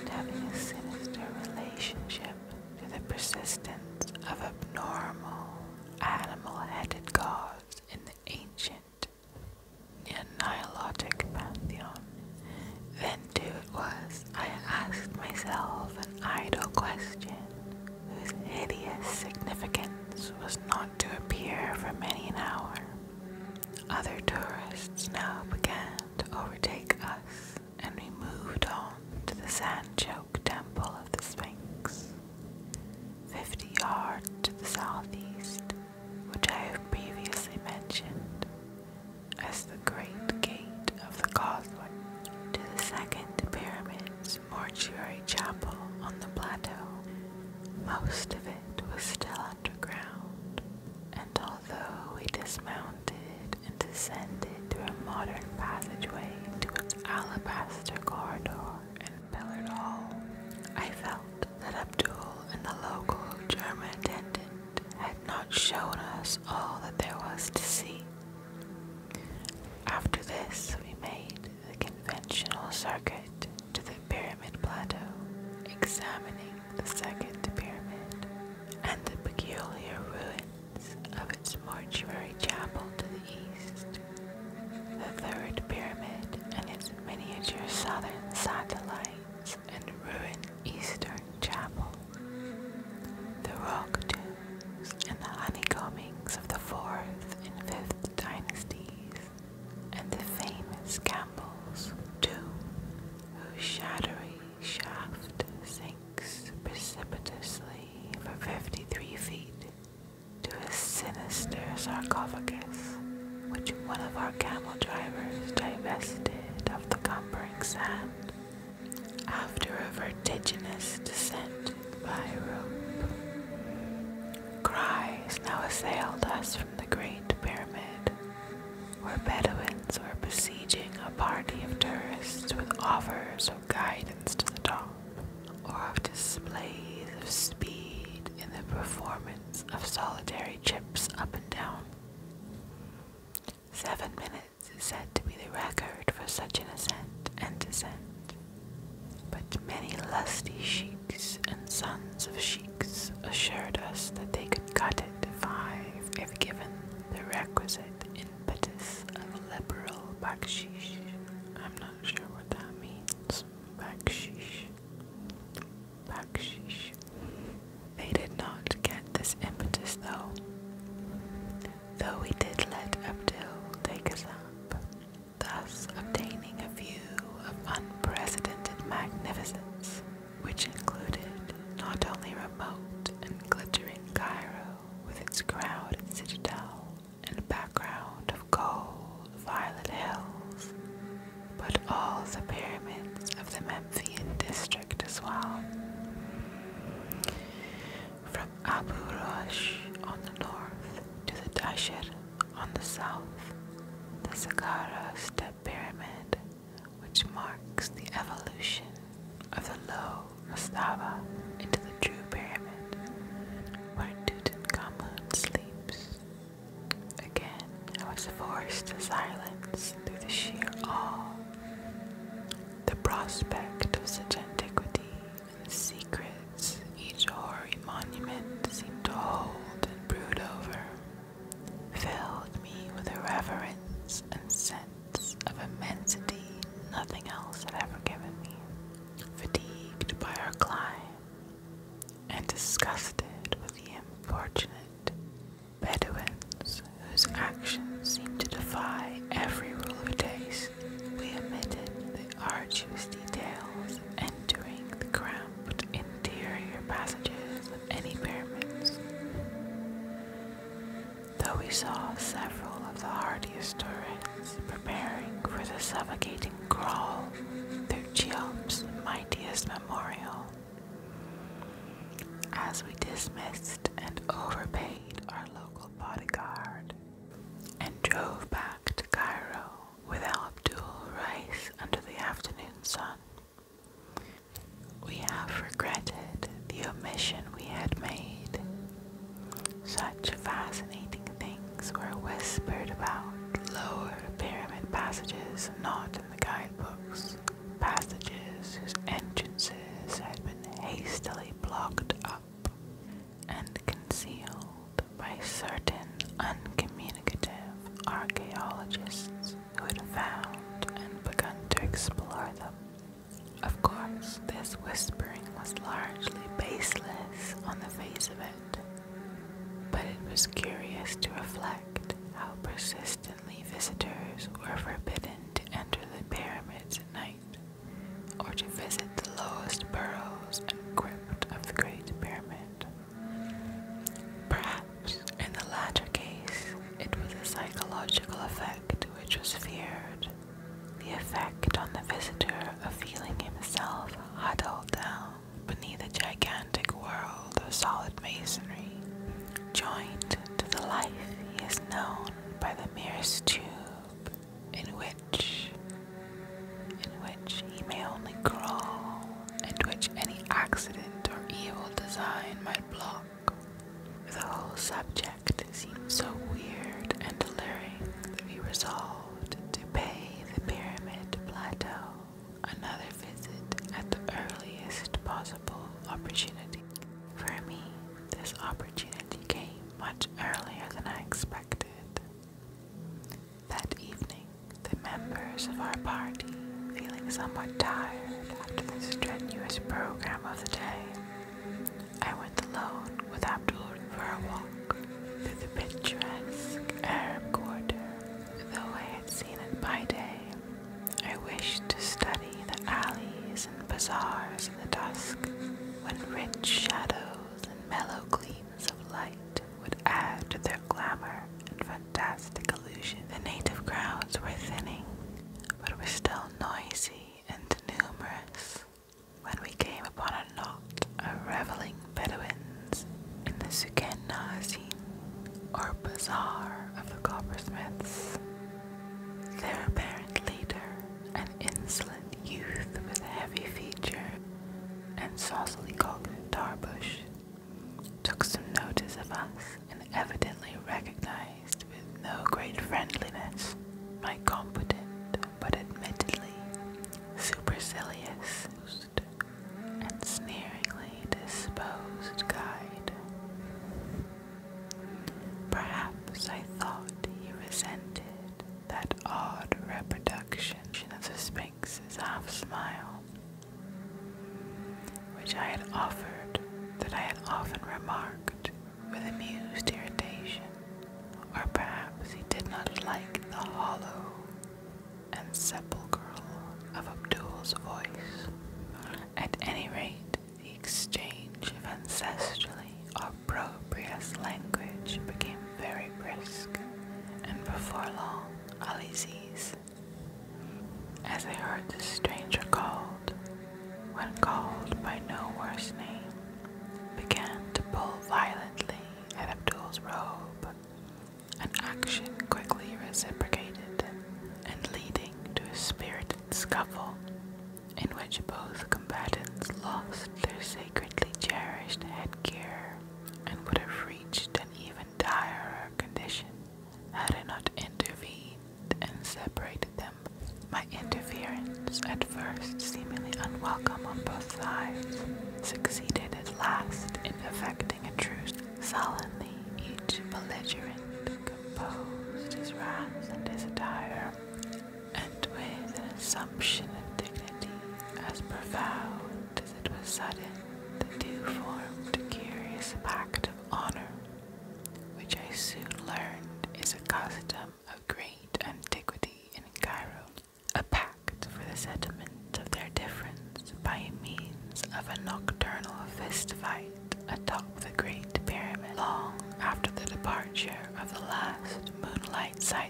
and having a sinister relationship to the persistence of abnormal, animal-headed gods in the ancient Nihilotic pantheon. Then too it was I asked myself an idle question whose hideous significance was not to appear for many an hour. Other tourists now began to overtake us, and we moved on to the sand choked temple of the Sphinx, fifty yards to the southeast, which I have previously mentioned as the Great Gate of the Causeway, to the second pyramid Woodlands Mortuary Chapel on the plateau. Most of it was still underground, and although we dismounted and descended through a modern passageway to its alabaster corridor and pillared hall, I felt that Abdul and the local German attendant had not shown us all that there was to see. After this, we made the conventional circuit to the Pyramid Plateau, examining the Second Pyramid and the peculiar ruins of its mortuary chapel to the east. The Third Pyramid and its miniature southern satellites and ruined eastern chapel. The rock tomb and the honeycombings of the fourth and fifth dynasties, and the famous Campbell's tomb, whose shadowy shaft sinks precipitously for 53 feet to a sinister sarcophagus, which one of our camel drivers divested of the cumbering sand after a vertiginous descent by rope. Cries now assailed us from the Great Pyramid, where Bedouins were besieging a party of tourists with offers of guidance to the top, or of displays of speed in the performance of solitary chips up and down. Seven minutes is said to be the record for such an ascent and descent. But many lusty sheiks and sons of sheiks assured us that they could cut it to five if given the requisite impetus of liberal bakshish. I'm not sure what that means. Bakshish. Bakshish. They did not get this impetus though though we did let Abdul take us up, thus obtaining a view of unprecedented magnificence, which included not only remote and glittering Cairo with its crowded citadel and background of gold, violet hills, but all the pyramids of the Memphian district as well from Abu Rosh on the north to the Dasher on the south, the Saqqara step pyramid, which marks the evolution of the low Mastaba into the true pyramid, where Tutankhamun sleeps. Again, I was forced to silence through the sheer awe. The prospect of such antiquity secrets each hoary monument seemed to hold and brood over, filled me with a reverence and sense of immensity nothing else had ever given me. Fatigued by our climb, and disgusted with the unfortunate Bedouins whose actions seemed to defy every rule of taste. We omitted the arches' details entering the cramped interior passages of any pyramids. Though we saw several of the hardiest tourists preparing for the suffocating crawl through Cheops' mightiest memorial, as we dismissed and overpaid our local bodyguard and drove back to Cairo with Al Abdul Rice under the afternoon sun. We have regretted the omission we had made. Such fascinating things were whispered about lower pyramid passages not in the guidebooks, passages whose entrances had been hastily blocked up and concealed by certain uncommunicative archaeologists who had found and begun to explore them. Of course, this whispering was largely baseless on the face of it, but it was curious to reflect how persistently visitors were forbidden to enter the pyramids at night or to visit the lowest burrows and crypt of the Great Pyramid. Perhaps in the latter case, it was a psychological effect which was feared, the effect on the visitor of feeling himself huddled down beneath a gigantic world of solid masonry, joined to the life he is known by the merest tube in which in which he may only crawl, and which any accident or evil design might block. The whole subject seemed so weird and alluring that we resolved to pay the Pyramid Plateau another visit at the earliest possible opportunity. For me, this opportunity came much earlier than I expected. That evening, the members of our party, feeling somewhat tired after the strenuous program of the day, I went alone with Abdul for a walk through the picturesque Arab quarter. Though I had seen it by day, I wished to study the alleys and bazaars in the dusk when rich shadows candles and mellow gleams of light would add to their glamour and fantastic illusion. The native crowds were thinning, but were still noisy and numerous when we came upon a knot of reveling Bedouins in the Suken Nazin, or Bazaar of the Coppersmiths. Their apparent leader, an insolent youth with heavy feature and saucily called Tarbush, took some notice of us and evidently recognized with no great friendliness my competent but admittedly supercilious and sneeringly disposed guide. Perhaps I thought he resented that odd reproduction of the Sphinx's half smile, which I had offered, that I had often remarked with amused irritation, or perhaps he did not like the hollow and sepulchral of Abdul's voice. At any rate, the exchange of ancestrally opprobrious language became very brisk, and before long, Alize's. As they heard this stranger called, when called by no worse name, began to pull violently at Abdul's robe, an action quickly reciprocated and leading to a spirited scuffle in which both combatants lost their sacredly cherished headgear and would have reached an even direr condition had it not intervened and separated them. My interference, at first seemingly unwelcome on both sides, succeeded at last in effecting a truce. Sullenly, each belligerent composed his wrath and his attire, and with an assumption of dignity as profound as it was sudden, the two formed a curious pact of honor, which I soon learned is a custom of great antiquity in Cairo, a pact for the settlement of their difference by means of a nocturnal fist fight atop the Great Pyramid long after the departure of the last moonlight sight.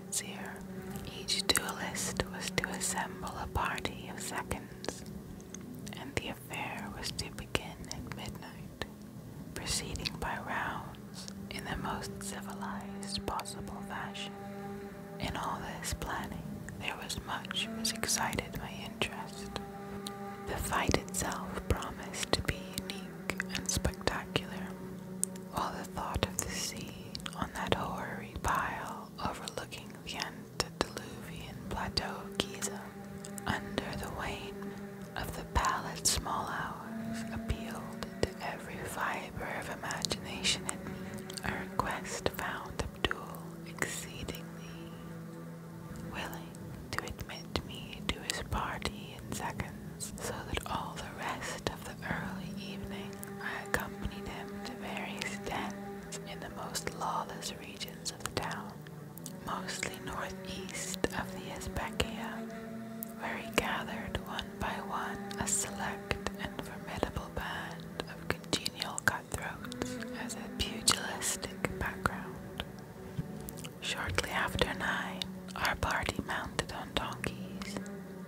Each duelist was to assemble a party of seconds, and the affair was to begin at midnight, proceeding by rounds in the most civilized possible fashion. In all this planning, there was much which excited my interest. The fight itself promised to be unique and spectacular, while the thought of the scene on that hoary pile overlooking the antediluvian plateau of Giza, under the wane of the pallid small hours, appealed to every fiber of imagination in me. A request found Abdul exceedingly willing to admit me to his party in seconds, so that all the rest of the early evening I accompanied him to various dens in the most lawless regions of the town, mostly northeast of the Especia, where he gathered one by one a select and formidable band of congenial cutthroats as a pugilistic background. Shortly after nine, our party mounted on donkeys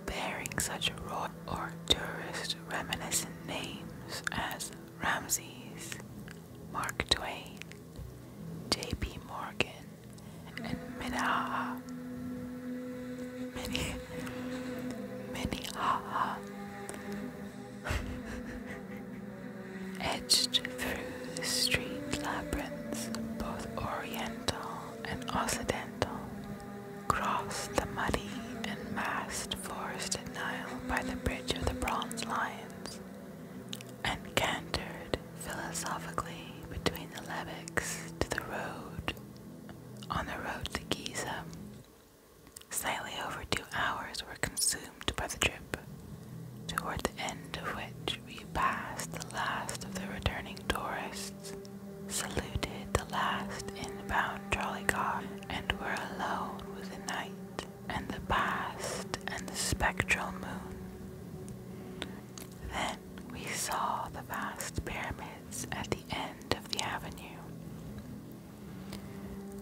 bearing such royal or tourist reminiscent names as Ramses, Mark Twain, J.P. Morgan, and Minnehaha. Minnie, Minnehaha. Edged through the street labyrinths, both oriental and Occidental crossed the muddy and massed forested Nile by the bridge of the Bronze Lions and cantered philosophically between the lebbeks to the road on the road to Giza. Slightly over two hours were consumed by the trip, toward the end of which we passed the last of the returning tourists, saluted the last inbound trolley car, and were alone with the night and the past and the spectral moon. Then we saw the vast pyramids at the end of the avenue.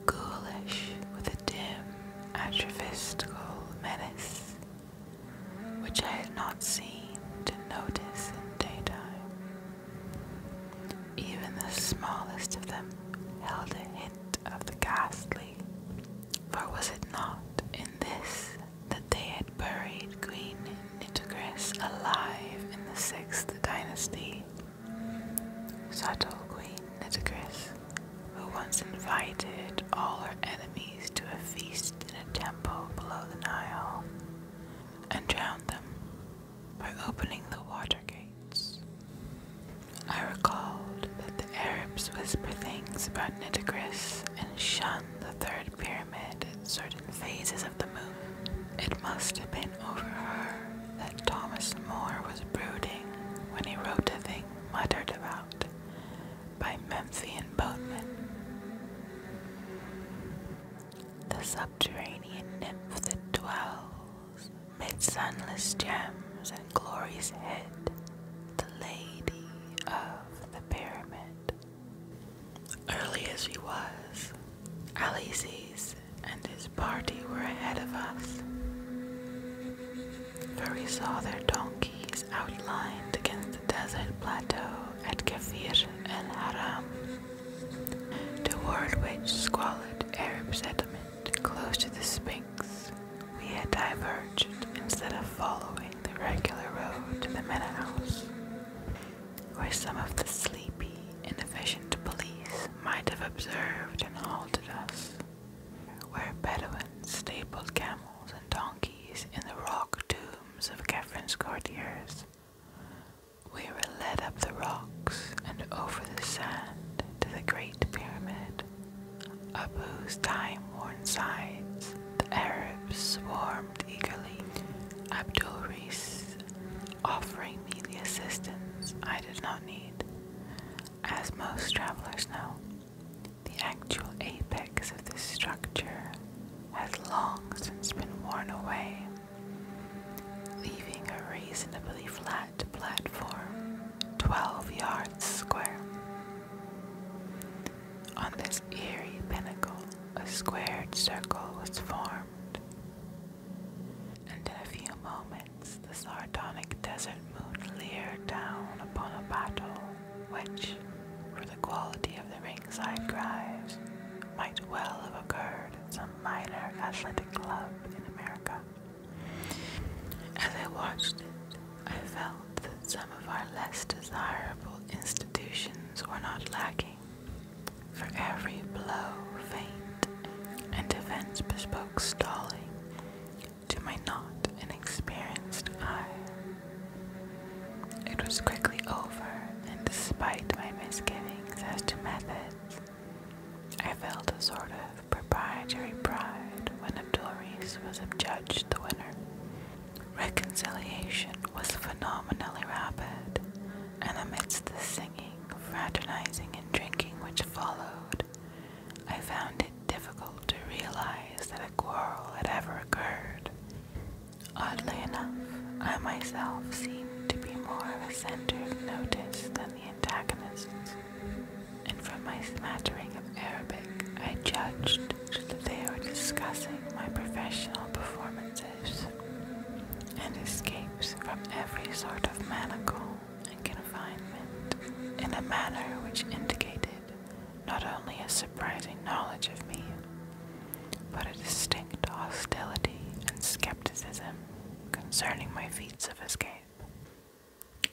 Ghoulish with a dim, atrophistical menace, which I had not seen to notice in daytime. Even the smallest of them held a hint of the ghastly, for was it not in this that they had buried Queen Nitocris alive in the sixth dynasty? Subtle Queen Nitocris, who once invited all her enemies to a feast in a temple below the Nile and drowned them by opening the water gates. I recalled that the Arabs whisper things about Nitocris and shun the third pyramid at certain phases of the moon. It must have been over her that Thomas Moore was brooding when he wrote the thing muttered about by Memphian boatmen. The subterranean nymph that dwells mid sunless gems and glories hid the lady of the pyramid. Early as he was, Alices and his party were ahead of us, for we saw their donkeys outlined against desert plateau at Kafir and Haram, toward which squalid Arab settlement close to the Sphinx we had diverged instead of following the regular road to the Mena House, where some of the sleepy, inefficient police might have observed and halted us, where Bedouins stapled camels and donkeys in the rock too of Catherine's courtiers. We were led up the rocks and over the sand to the Great Pyramid, up whose time-worn sides the Arabs swarmed eagerly. Abdul Reis offering me the assistance I did not need. As most travelers know, the actual apex of this structure has long since been worn away, leaving a reasonably flat platform 12 yards square. On this eerie pinnacle, a squared circle was formed, and in a few moments the sardonic desert moon leered down upon a battle which, for the quality of the ringside drives, might well have occurred at some minor athletic club in America. As I watched it, I felt that some of our less desirable institutions were not lacking. For every blow, faint, and events bespoke stalling to my not inexperienced eye. It was quickly over, and despite my misgivings as to methods, I felt a sort of proprietary pride when Abdul Reese was adjudged the winner. Reconciliation was phenomenally rapid, and amidst the singing, fraternizing, and drinking which followed, I found it difficult to realize that a quarrel had ever occurred. Oddly enough, I myself seemed to be more of a center of notice than the antagonists, and from my smattering of Arabic, I judged that they were discussing my professional performances and escapes from every sort of manacle and confinement in a manner which indicated not only a surprising knowledge of me, but a distinct hostility and skepticism concerning my feats of escape.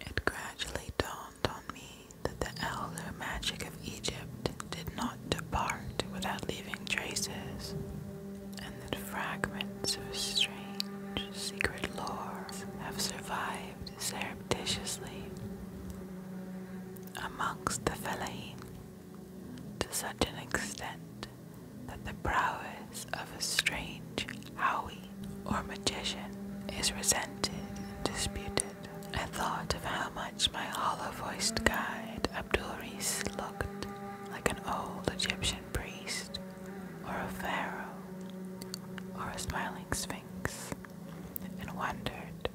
It gradually dawned on me that the elder magic of Egypt did not depart without leaving traces, and that fragments of strange secret lore have survived surreptitiously amongst the Fellahin to such an extent that the prowess of a strange howie or magician is resented and disputed. I thought of how much my hollow voiced guide Abdul looked like an old Egyptian priest or a pharaoh or a smiling sphinx and wondered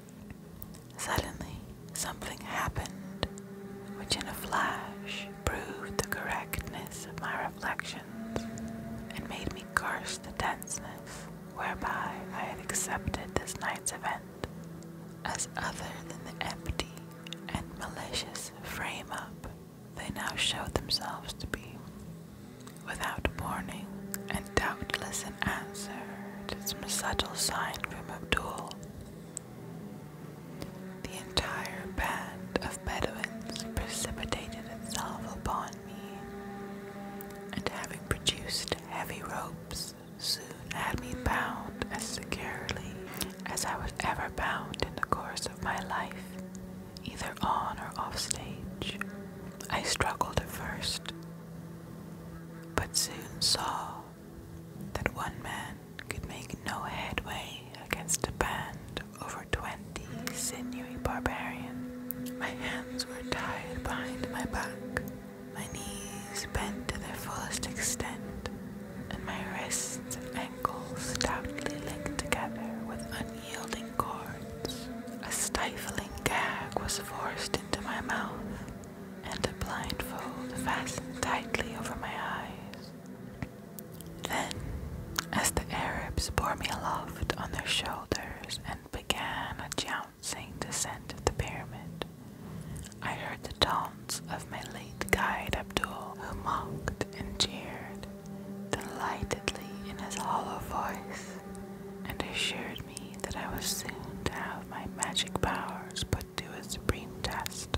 Suddenly, something happened which, in a flash, proved the correctness of my reflections and made me curse the denseness whereby I had accepted this night's event as other than the empty and malicious frame up they now showed themselves to be. Without warning, and doubtless in an answer to some subtle sign from Abdul, the entire band of Bedouins precipitated itself upon me, and having produced heavy ropes, soon had me bound as securely as I was ever bound in the course of my life, either on or off stage. I struggled at first, but soon saw that one man could make no headway against a band of over twenty sinewy barbarians. My hands were tied behind my back, my knees bent to their fullest extent, and my wrists and ankles stoutly linked together with unyielding cords. A stifling gag was forced into my mouth, and a blindfold fastened tightly over my eyes. Then, as the Arabs bore me aloft on their shoulders and began a jouncing descent of the pyramid, I heard the taunts of my late guide Abdul, who mocked and jeered delightedly in his hollow voice and assured me that I was soon to have my magic powers put would do a supreme test,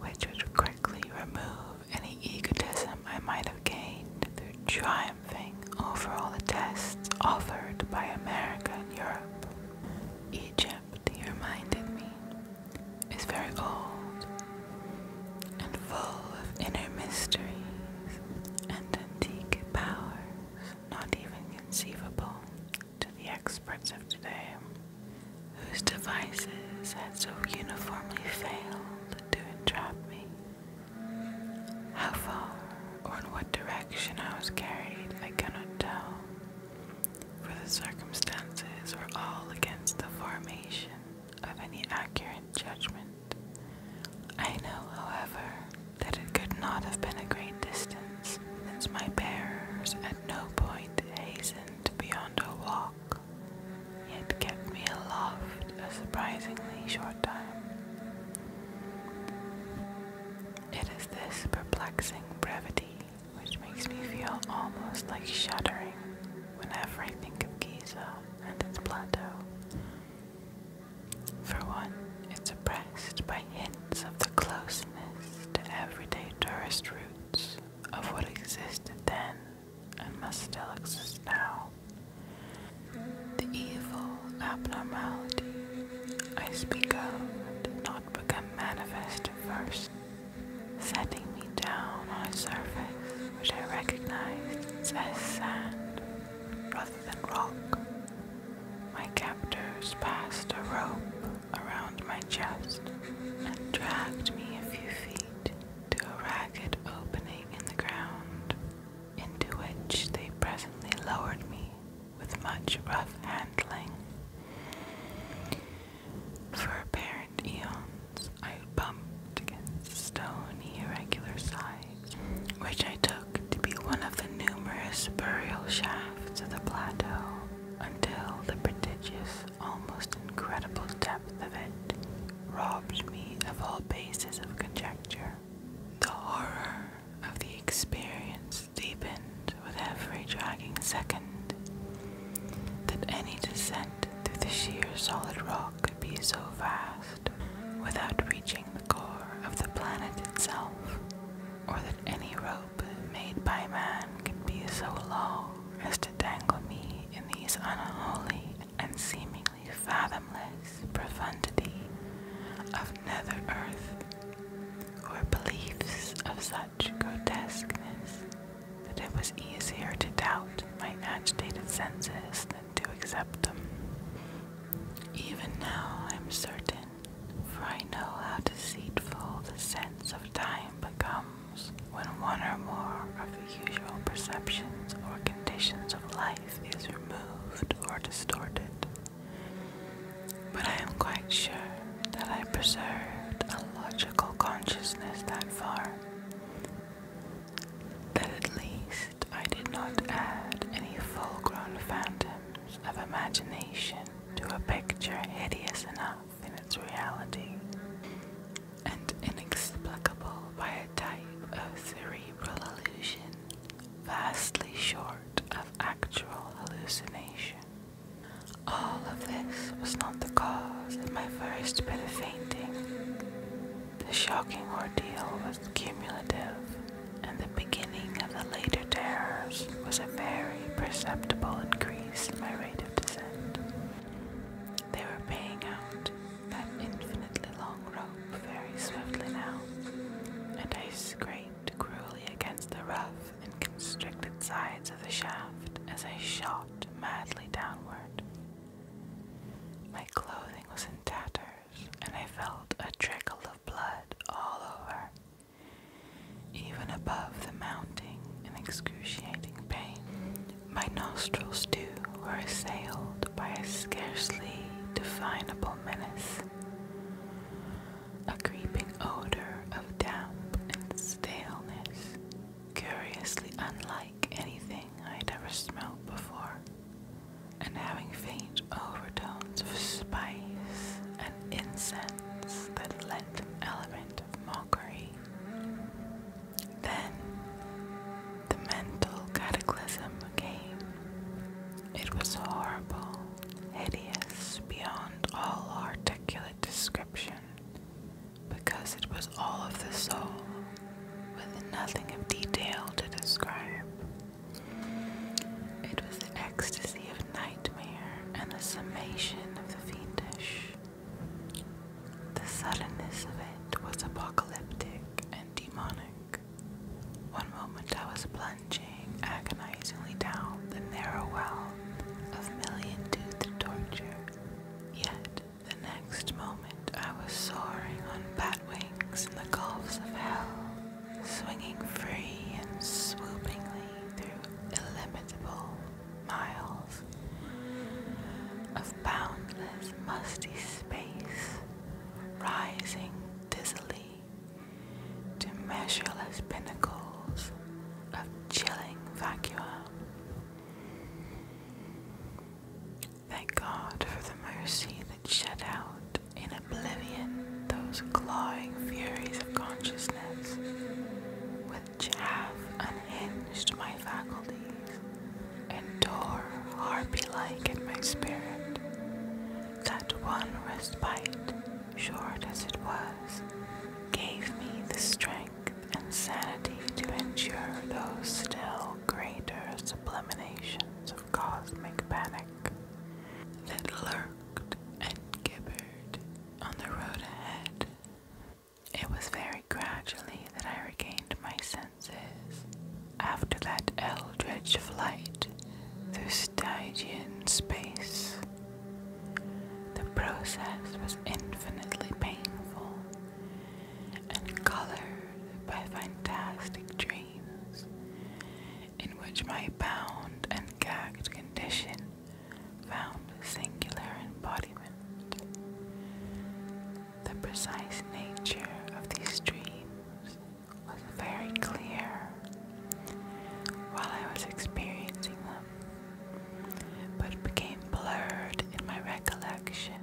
which would quickly remove any egotism I might have gained through triumphing over all the tests offered by America and Europe. Egypt, he reminded me, is very old and full of inner mysteries and antique powers not even conceivable to the experts of today, whose devices had so uniformly failed to entrap me. How far or in what direction I was carried, I cannot tell, for the circumstances were all against the formation of any accurate judgment. I know, however, that it could not have been a great distance, since my bearers at no point hastened beyond a walk, yet kept me aloft a surprisingly short time. It is this perplexing brevity which makes me feel almost like shuddering whenever I think of Giza and its plateau. For one, it's oppressed by hidden of the closeness to everyday tourist routes of what existed then and must still exist now. The evil abnormality I speak of did not become manifest first, setting me down on a surface which I recognized as sand rather than rock. My captors passed a rope around my chest and dragged me a few feet to a ragged opening in the ground, into which they presently lowered me with much rough handling. For apparent eons, I bumped against stony, irregular sides, which I took to be one of the numerous burial shafts of the plateau until the prodigious, almost incredible depth of it robbed me of all basis of conjecture. The horror of the experience deepened with every dragging second. That any descent through the sheer solid rock could be so vast without reaching the core of the planet itself, or that any rope rope made by man can be so low as to dangle me in these unholy and seemingly fathomless profundity of nether earth, or beliefs of such grotesqueness that it was easier to doubt my agitated senses than to accept them. Even now, I'm certain for I know how deceitful the sense of time becomes when one or more of the usual perceptions or conditions of life is removed or distorted. But I am quite sure that I preserved a logical consciousness that far, that at least I did not add any full grown phantoms of imagination to a picture hideous enough in its reality and inexplicable by a type of cerebral illusion vastly short of actual hallucination. All of this was not the cause of my first bit of fainting. The shocking ordeal was cumulative, and the beginning of the later terrors was a very perceptible increase in my rate of descent. They were paying out that infinitely long rope very swiftly now, and I scraped cruelly against the rough and constricted sides of the shaft as I shot madly downward. My clothing was in tatters, and I felt a trickle of blood all over. Even above the mounting and excruciating pain, my nostrils too were assailed by a scarcely definable menace, a creeping odor of damp and staleness, curiously unlike anything I had ever smelled before, and having faint overtones of spice and incense that lent element of mockery. Then the mental cataclysm came. It was horrible, hideous beyond all articulate description, because it was all of the soul, with nothing of detail to describe. It was ecstasy of nightmare and the summation of the fiendish. The suddenness of it was apocalyptic and demonic. One moment I was plunging agonizingly down the narrow well of million-toothed torture, yet the next moment I was soaring on bat wings in the gulfs of hell, swinging free and swoopingly through illimitable miles of boundless, musty space, rising dizzily to measureless pinnacles of chilling vacuum. Thank God for the mercy that shut out in oblivion those clawing furies of consciousness, which have unhinged my faculties and tore harpy like at my spirit. That one respite, short as it was, gave me the strength and sanity to endure those still greater subliminations of cosmic panic that lurked and gibbered on the road ahead, it was very gradually that I regained my senses after that eldritch flight through Stygian space. The process was infinitely painful and colored by fantastic dreams in which my bound and gagged condition found singular embodiment. The precise nature of these dreams was very clear while I was experiencing them, but became blurred in my recollection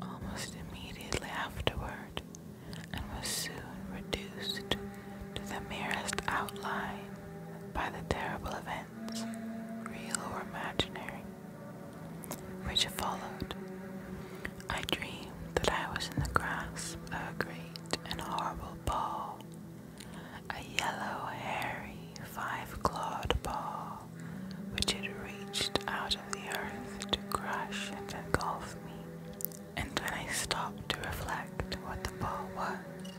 almost immediately afterward and was soon reduced to to the merest outline by the terrible events, real or imaginary, which followed. I dreamed that I was in the grasp of a great and horrible ball, a yellow, hairy, five-clawed ball, which had reached out of the earth to crush and engulf me and when I stopped to reflect what the ball was,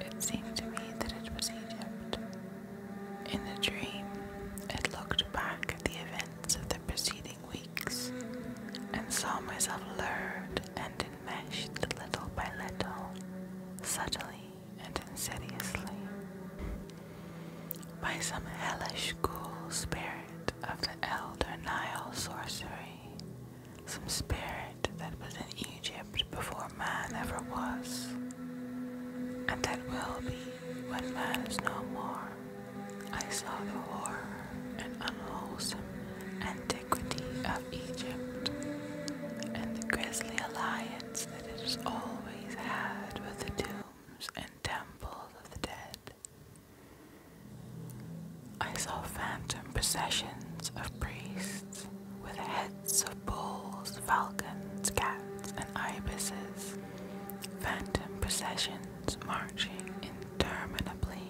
it seemed to me that it was Egypt. In the dream, it looked back at the events of the preceding weeks and saw myself lured and enmeshed little by little, subtly and insidiously, by some hellish ghoul spirit of the elder Nile sorcery some spirit that was in Egypt before man ever was, and that will be when man is no more. I saw the horror and unwholesome antiquity of Egypt, and the grisly alliance that it has always had with the tombs and temples of the dead. I saw phantom processions of priests with heads of bulls, falcons, cats, and ibises. Phantom processions marching interminably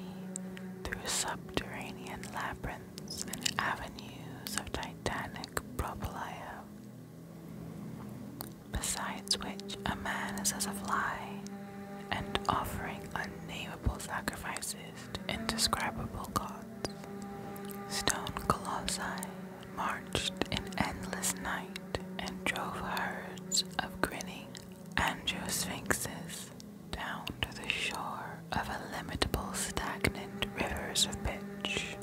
through subterranean labyrinths and avenues of titanic propylaea, besides which a man is as a fly and offering unnameable sacrifices indescribable gods. Stone colossi marched in endless night and drove herds of grinning angiosphinxes down to the shore of illimitable stagnant rivers of pitch.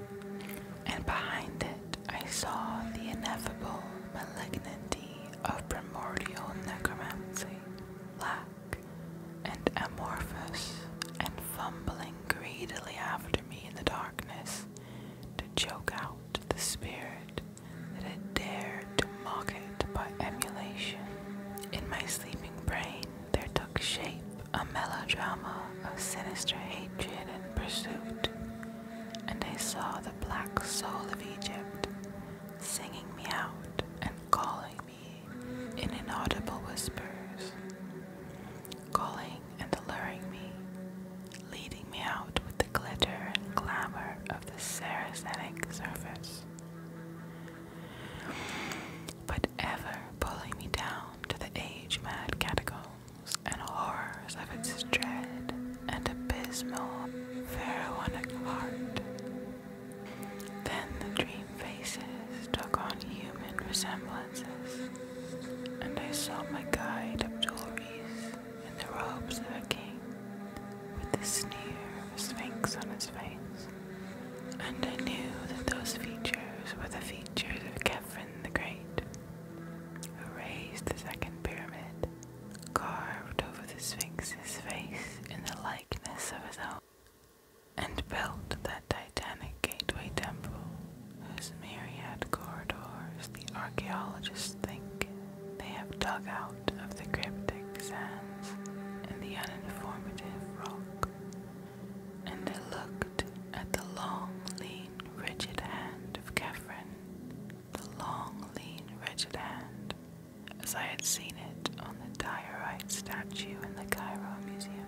And behind it I saw the ineffable malignity of primordial necromancy, lack and amorphous and fumbling greedily after me in the darkness to choke out the spirit that had dared to mock it by emulation. In my sleeping brain there took shape a melodrama of sinister hatred and pursuit, and I saw the black soul of Egypt singing me out and calling me in inaudible whispers, calling and alluring me, leading me out with the glitter and glamour of the Saracenic surface, but ever pulling me down to the age-mad catacombs and horrors of its dread and abysmal pharaonic heart. Then the dream faces took on human resemblances, and I saw my guide Abdulrees in the robes of a king, with the sneer of a sphinx on his face, and I knew that those features were the features of Kefren the Great, who raised the second pyramid, carved over the sphinx's face in the likeness of his own and built that titanic gateway temple whose myriad corridors the archaeologists think they have dug out of the cryptic sands and the uninformative rock. And they looked at the long, lean, rigid hand of Catherine, the long, lean, rigid hand as I had seen it on the diorite statue in the Cairo Museum,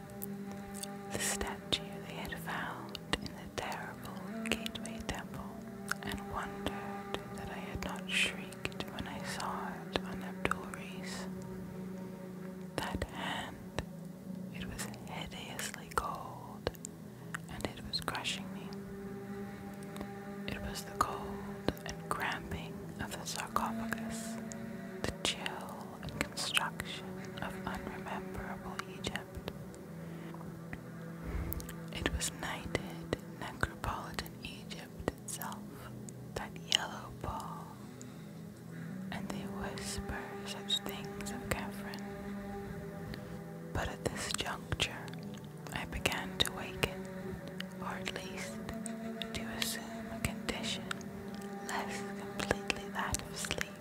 the statue they had found in the terrible Gateway Temple, and wondered that I had not shrieked when I saw it on Abdul-Reis. That hand, it was hideously cold, and it was crushing me. It was the cold and cramping of the sarcophagus, the chill and construction of unrememberable Egypt. It was knighted necropolitan Egypt itself, that yellow ball, and they whisper such things of Catherine. But at this juncture, I began to waken or at least to assume a condition less completely that of sleep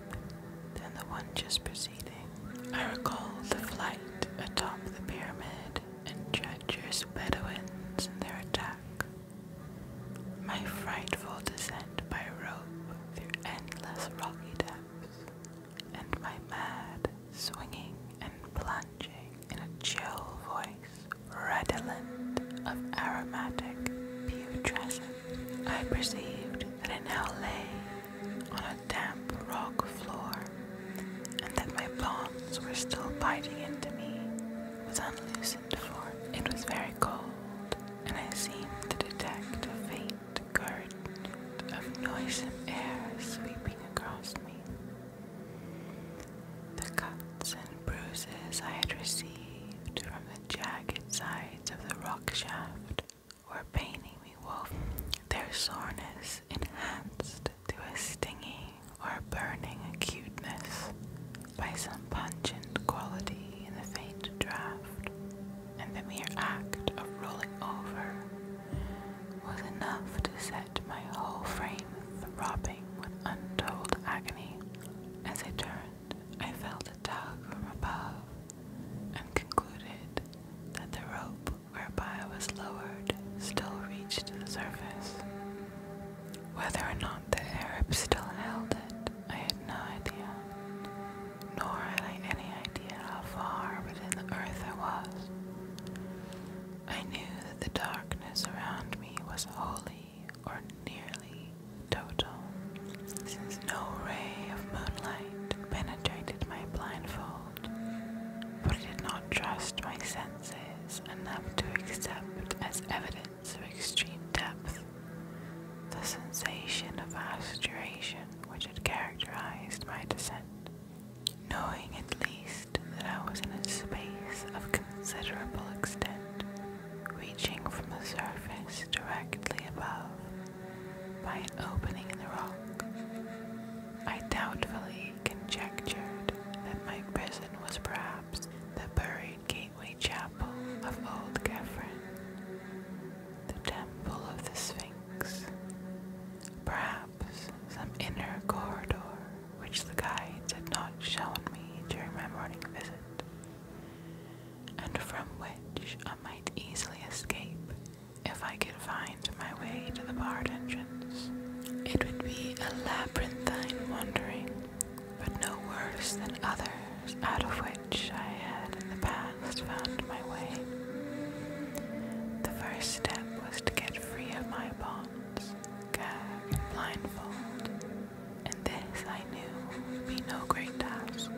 than the one just preceding. I recall the flight atop the pyramid and treacherous Bedouins and their attack. My frightful descent by rope through endless rocky depths, and my mad swinging and plunging in a chill voice redolent of aromatic putrescence. I perceived that I now lay on a damp rock floor, and that my bonds were still biting into me with unloosened form. It was very cold, and I seemed to detect a faint current of noisome air sweeping across me. The cuts and bruises I had received from the jagged sides of the rock shaft were paining me woefully, their soreness enhanced to a stinging or burning acuteness by some pungent quality in the faint draught, and the mere act of rolling over was enough to set my whole frame throbbing with untold agony. As I turned, I felt a tug from above and concluded that the rope whereby I was lowered still reached the surface. Whether or not the Arab still held it, I had no idea, nor had I any idea how far within the earth I was. I knew that the darkness around me was wholly or nearly total, since no ray of moonlight penetrated my blindfold, but I did not trust my senses enough to accept as evidence of extreme depth the sensation of vast which had characterized my descent. Knowing at least that I was in a space of considerable extent, reaching from the surface directly above by an opening in the rock. I doubtfully conjectured that my prison was perhaps the buried gateway chapel of old Kefren, the temple of the Sphinx, perhaps some inner corridor which the guide had not shown me during my morning visit, and from which I might easily escape if I could find my way to the barred entrance. It would be a labyrinthine wandering, but no worse than others out of which I had in the past found my way. The first step was to get free of my bonds, gag, blindfold, and this I knew would be no great task.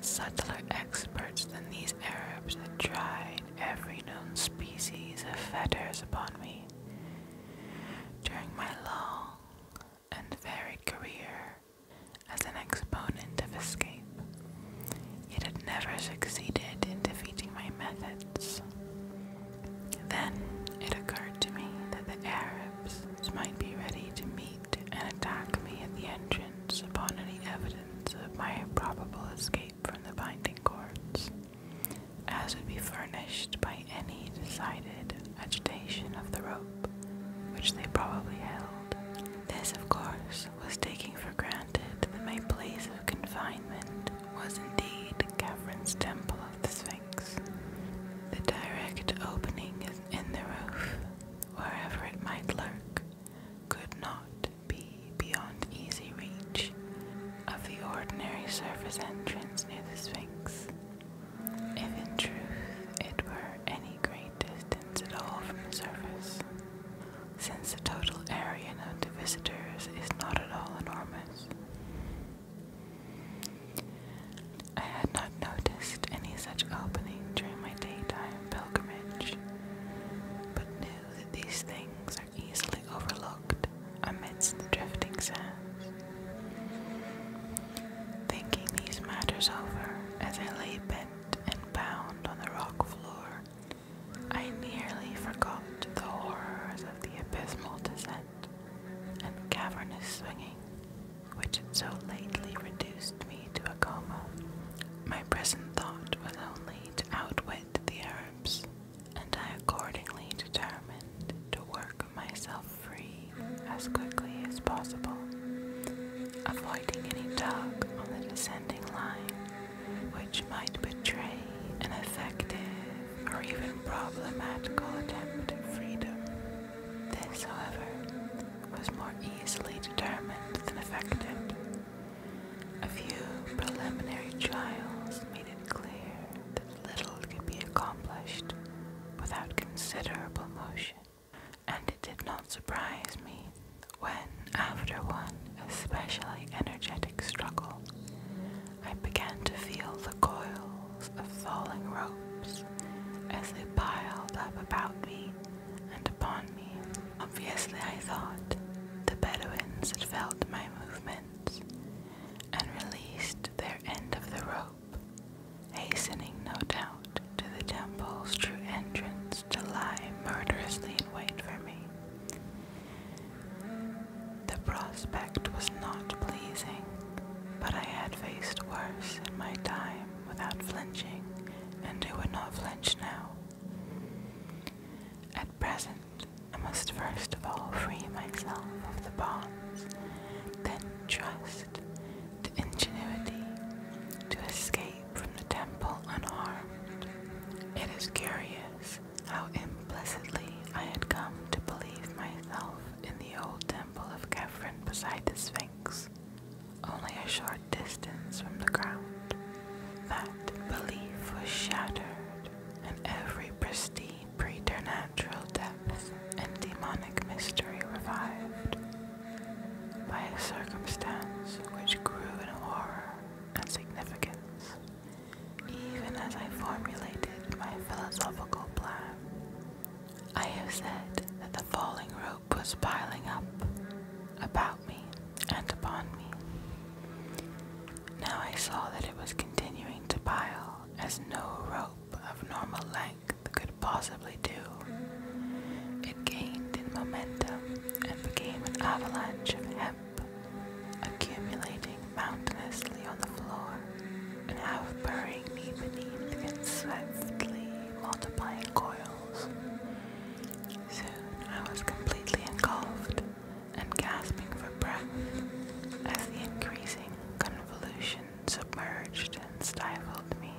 Subtler experts than these Arabs had tried every known species of fetters upon me. During my long and varied career as an exponent of escape, it had never succeeded in defeating my method. Then it occurred to me that the Arabs might be ready to meet and attack me at the entrance upon any evidence of my probable escape from the binding cords, as would be furnished by any decided agitation of the rope, which they probably held. This, of course, was taking for granted that my place of confinement was indeed the Catherine's Temple of the Sphinx. The direct opening in the roof, wherever it might lurk, could not be beyond easy reach of the ordinary surface entrance near the Sphinx. If in truth it were any great distance at all from the surface, since the total area known to visitors is not at all enormous, I had not noticed any such opening during my daytime pilgrimage, but knew that these things are easily overlooked amidst the drifting sands. Thinking these matters over as I lay bent and bound on the rock floor, I nearly forgot the horrors of the abysmal descent and cavernous swinging, which had so lately reduced me to a coma. My present thought was only to outwit the Arabs, and I accordingly determined to work myself free as quickly as possible, avoiding any tug on the descending line, which might betray an effective or even problematical attempt at freedom. This, however, was more easily determined than effected. A few preliminary trials made it clear that little could be accomplished without considerable motion, and it did not surprise me when, after one especially energetic struggle, I began to feel the coils of falling ropes as they piled up about me and upon me. Obviously, I thought the Bedouins had felt my movements and released their end of the rope, hastening, no doubt, to the temple's true entrance to lie murderously in wait for me. The prospect was not pleasing, but I had faced worse in my time without flinching, and I would not flinch now. At present, I must first of all free myself of the bonds, then trust to ingenuity to escape from the temple unharmed. It is curious how implicitly I had come to believe myself in the old temple of Kefren beside the Sphinx, only a short distance from the ground. That belief was shattered, and every pristine preternatural depth and demonic mystery revived by a circumstance which grew in horror and significance even as I formulated my philosophical plan. I have said that the falling rope was piling up about me and upon me. Now I saw that it was continuing to pile as no rope of normal length could possibly do. It gained in momentum and became an avalanche of hemp accumulating mountainously on the floor and half burying beneath its multiplying coils. Soon I was completely engulfed and gasping for breath as the increasing convolution submerged and stifled me.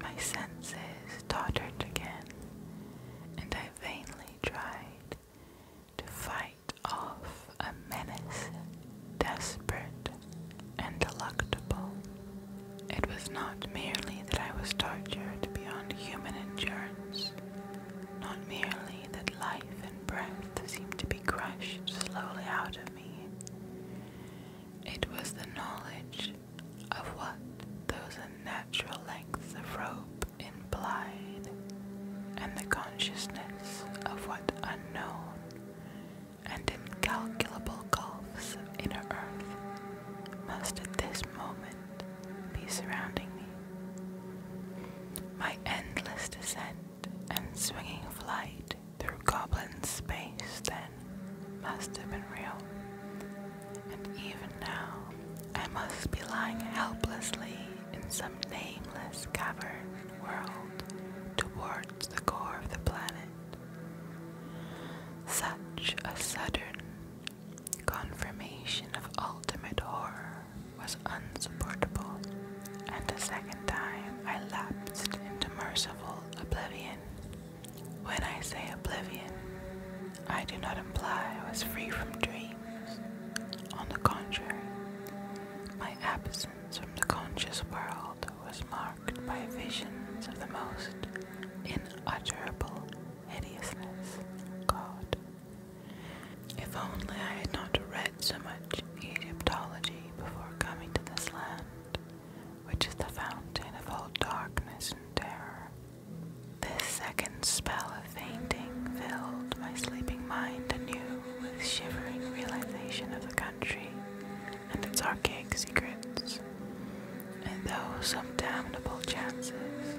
My senses tottered again, and I vainly tried to fight off a menace desperate and delectable. It was not merely that I was tortured beyond human endurance, not merely that life and breath seemed to be crushed slowly out of me. It was the knowledge of what those unnatural lengths of rope implied, and the consciousness of what unknown and incalculable gulfs of inner earth must at this moment be surrounding me. My endless descent and swinging flight through goblin space then must have been real, and even now I must be lying helplessly in some nameless cavern world, towards the core of the planet. Such a sudden confirmation of ultimate horror was unsupportable, and a second time I lapsed into merciful oblivion. When I say oblivion, I do not imply I was free from dreams. On the contrary, my absence from the conscious world was marked by visions of the most inutterable hideousness. God. If only I had not read so much Egyptology before coming to this land, which is the fountain of all darkness and terror. This second spell of fainting filled my sleeping mind anew with shivering realization of the country and its archaic secrets. And those some damnable chances,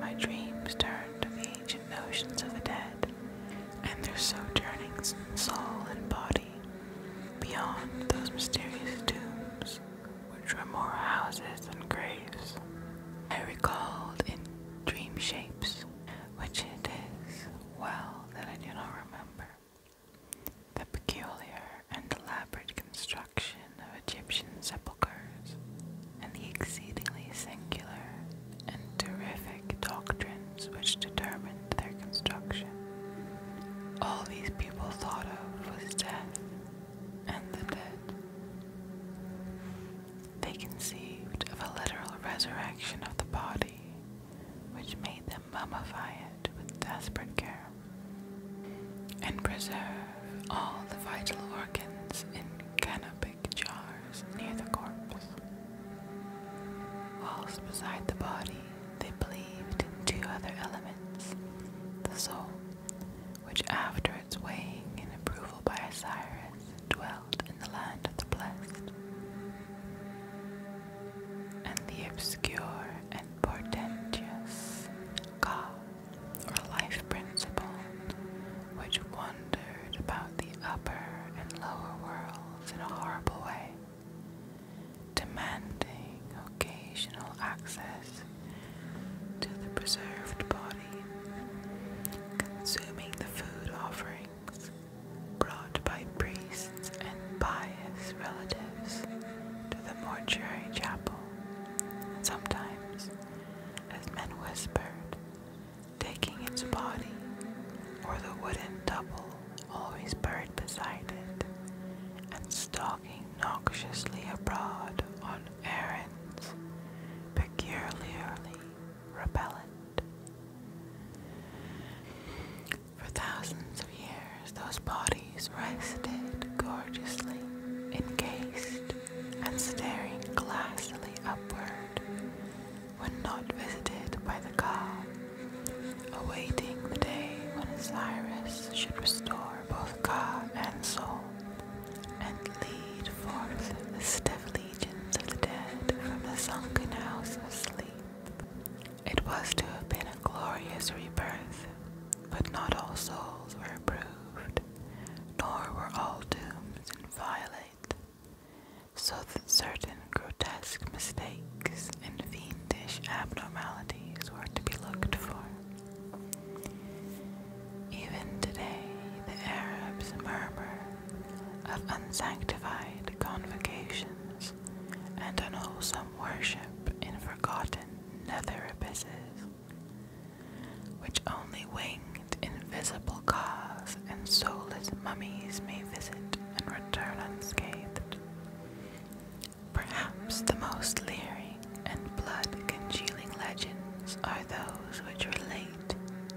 my dreams turned to the ancient notions of the dead and their sojournings soul and body beyond those mysterious tombs, which were more houses than graves. I recalled in dream shapes, which it is well that I do not remember. The peculiar and elaborate construction of Egyptian sepulchres, and the exceedingly singular and terrific doctrines which determined their construction. All these people thought of was death and the dead. They conceived of a literal resurrection of the body which made them mummify it with desperate care, and preserve all the vital organs in canopic jars near the corpse. Whilst beside the body, they believed in two other elements the soul, which after its weighing and approval by Osiris dwells in the land of the blessed. And the obscure and portentous god or life principle, which wandered about the upper and lower worlds in a horrible way, demanding occasional access to the preserved body, consuming the food offerings, brought by priests and pious relatives to the mortuary chapel, and sometimes, as men whispered, taking its body or the wooden double always buried beside it, and stalking noxiously abroad on errands peculiarly repellent. For thousands of years, those bodies rested gorgeously, encased and staring glassily upward when not visited by the car, awaiting the day when Osiris should restore both car and soul and lead forth the stiffly legions of the dead from the sunken house of sleep. It was to have been a glorious rebirth, but not all souls were approved, nor were all dooms inviolate, so that certain grotesque mistakes and fiendish abnormalities were to be looked for. Even today, the Arabs murmur of unsanctified convocations and unwholesome worship in forgotten nether abysses, which only winged invisible gods and soulless mummies may visit and return unscathed. Perhaps the most leering and blood-congealing legends are those which relate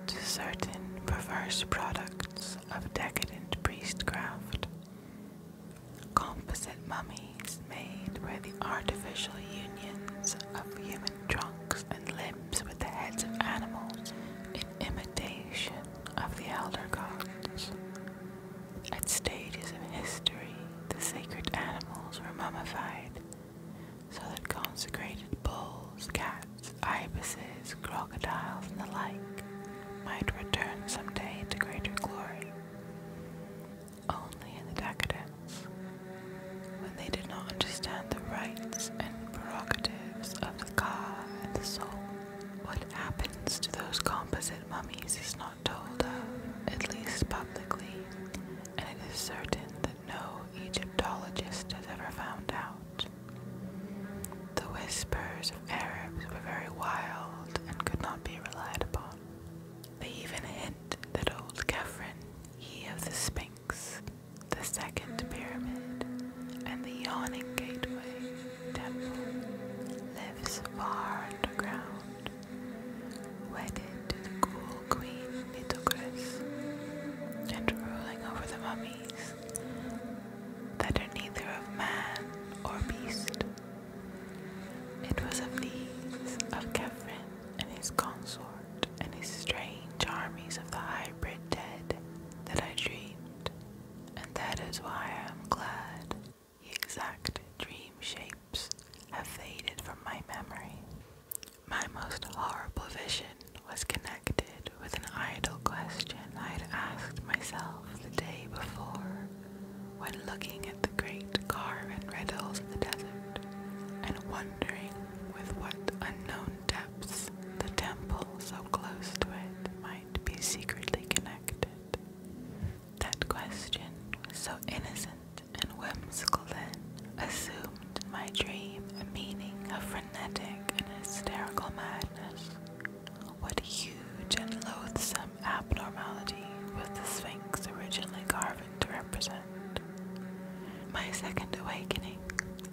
to certain perverse products of decadent priestcraft. Composite mummies made by the artificial unions of human trunks and limbs with the heads of animals in imitation of the elder gods. At stages of history, the sacred animals were mummified so that consecrated bulls, cats, ibises, crocodiles, and the like might return someday to greater glory. Only in the decadence, when they did not understand the rights and prerogatives of the ka and the soul. What happens to those composite mummies is not told of, at least publicly, and it is certain that no Egyptologist has ever found out. The whispers of Arabs were very wild and could not be relied upon. They even hint that old Kefren, he of the Sphinx, the second pyramid, and the yawning gateway temple, lives far underground, wedded to the cool queen Nitocris, and ruling over the mummies that are neither of man or beast. It was of these, of Kephren and his consort, and his strange armies of the hybrid dead, that I dreamed, and that is why I am glad the exact dream shapes have faded from my memory. My most horrible vision was connected with an idle question I had asked myself the day before when looking at the great carven red hills of the desert and wondering with what unknown depths the temple so close to it might be secretly connected. That question so innocent and whimsical then, assumed in my dream a meaning of frenetic and hysterical madness. What a huge and loathsome abnormality was the Sphinx originally carved to represent? My second awakening,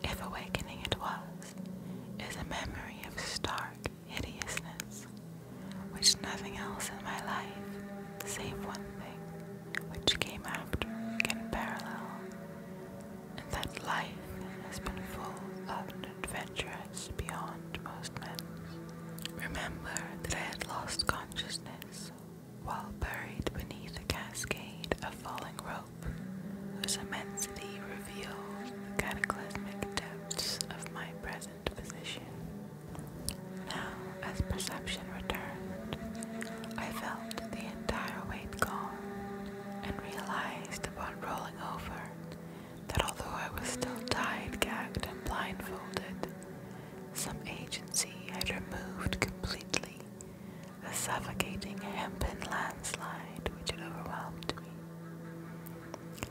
if awakening it was, is a memory of stark hideousness, which nothing else in my life, save one thing, which came after, can parallel and that life has been full of adventures beyond most men. Remember that I had lost consciousness while buried beneath a cascade of falling rope, whose immensity revealed the cataclysmic depths of my present position. Now, as perception returned, I felt the entire weight gone and realized upon rolling over that although I was still tied, gagged, and blindfolded, some agency had removed completely the suffocating hempen landslide which had overwhelmed me.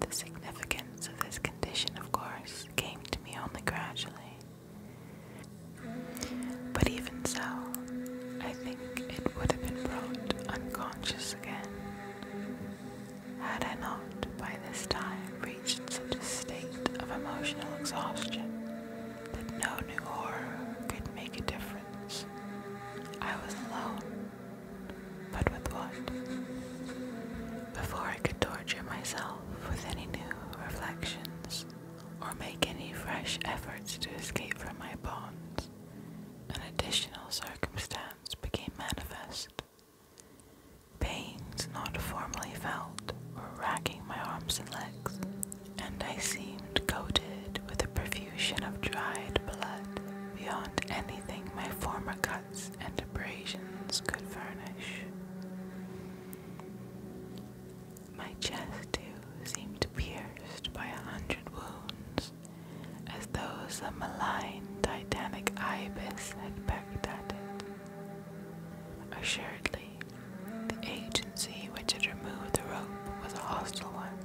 The significance of this condition, of course, came to me only gradually. But even so, I think think it would have been brought unconscious again had I not by this time reached such a state of emotional exhaustion that no new horror could make a difference. I was alone, but with what? Before I could torture myself with any new reflections or make any fresh efforts to escape from my bonds an additional circumstance became manifest. Pains not formerly felt were racking my arms and legs, and I seemed coated with a profusion of dried blood beyond anything my former cuts and abrasions could furnish. My chest, too, seemed pierced by a hundred wounds, as though some malign titanic ibis had pecked at it. Assuredly, the agency which had removed the rope was a hostile one,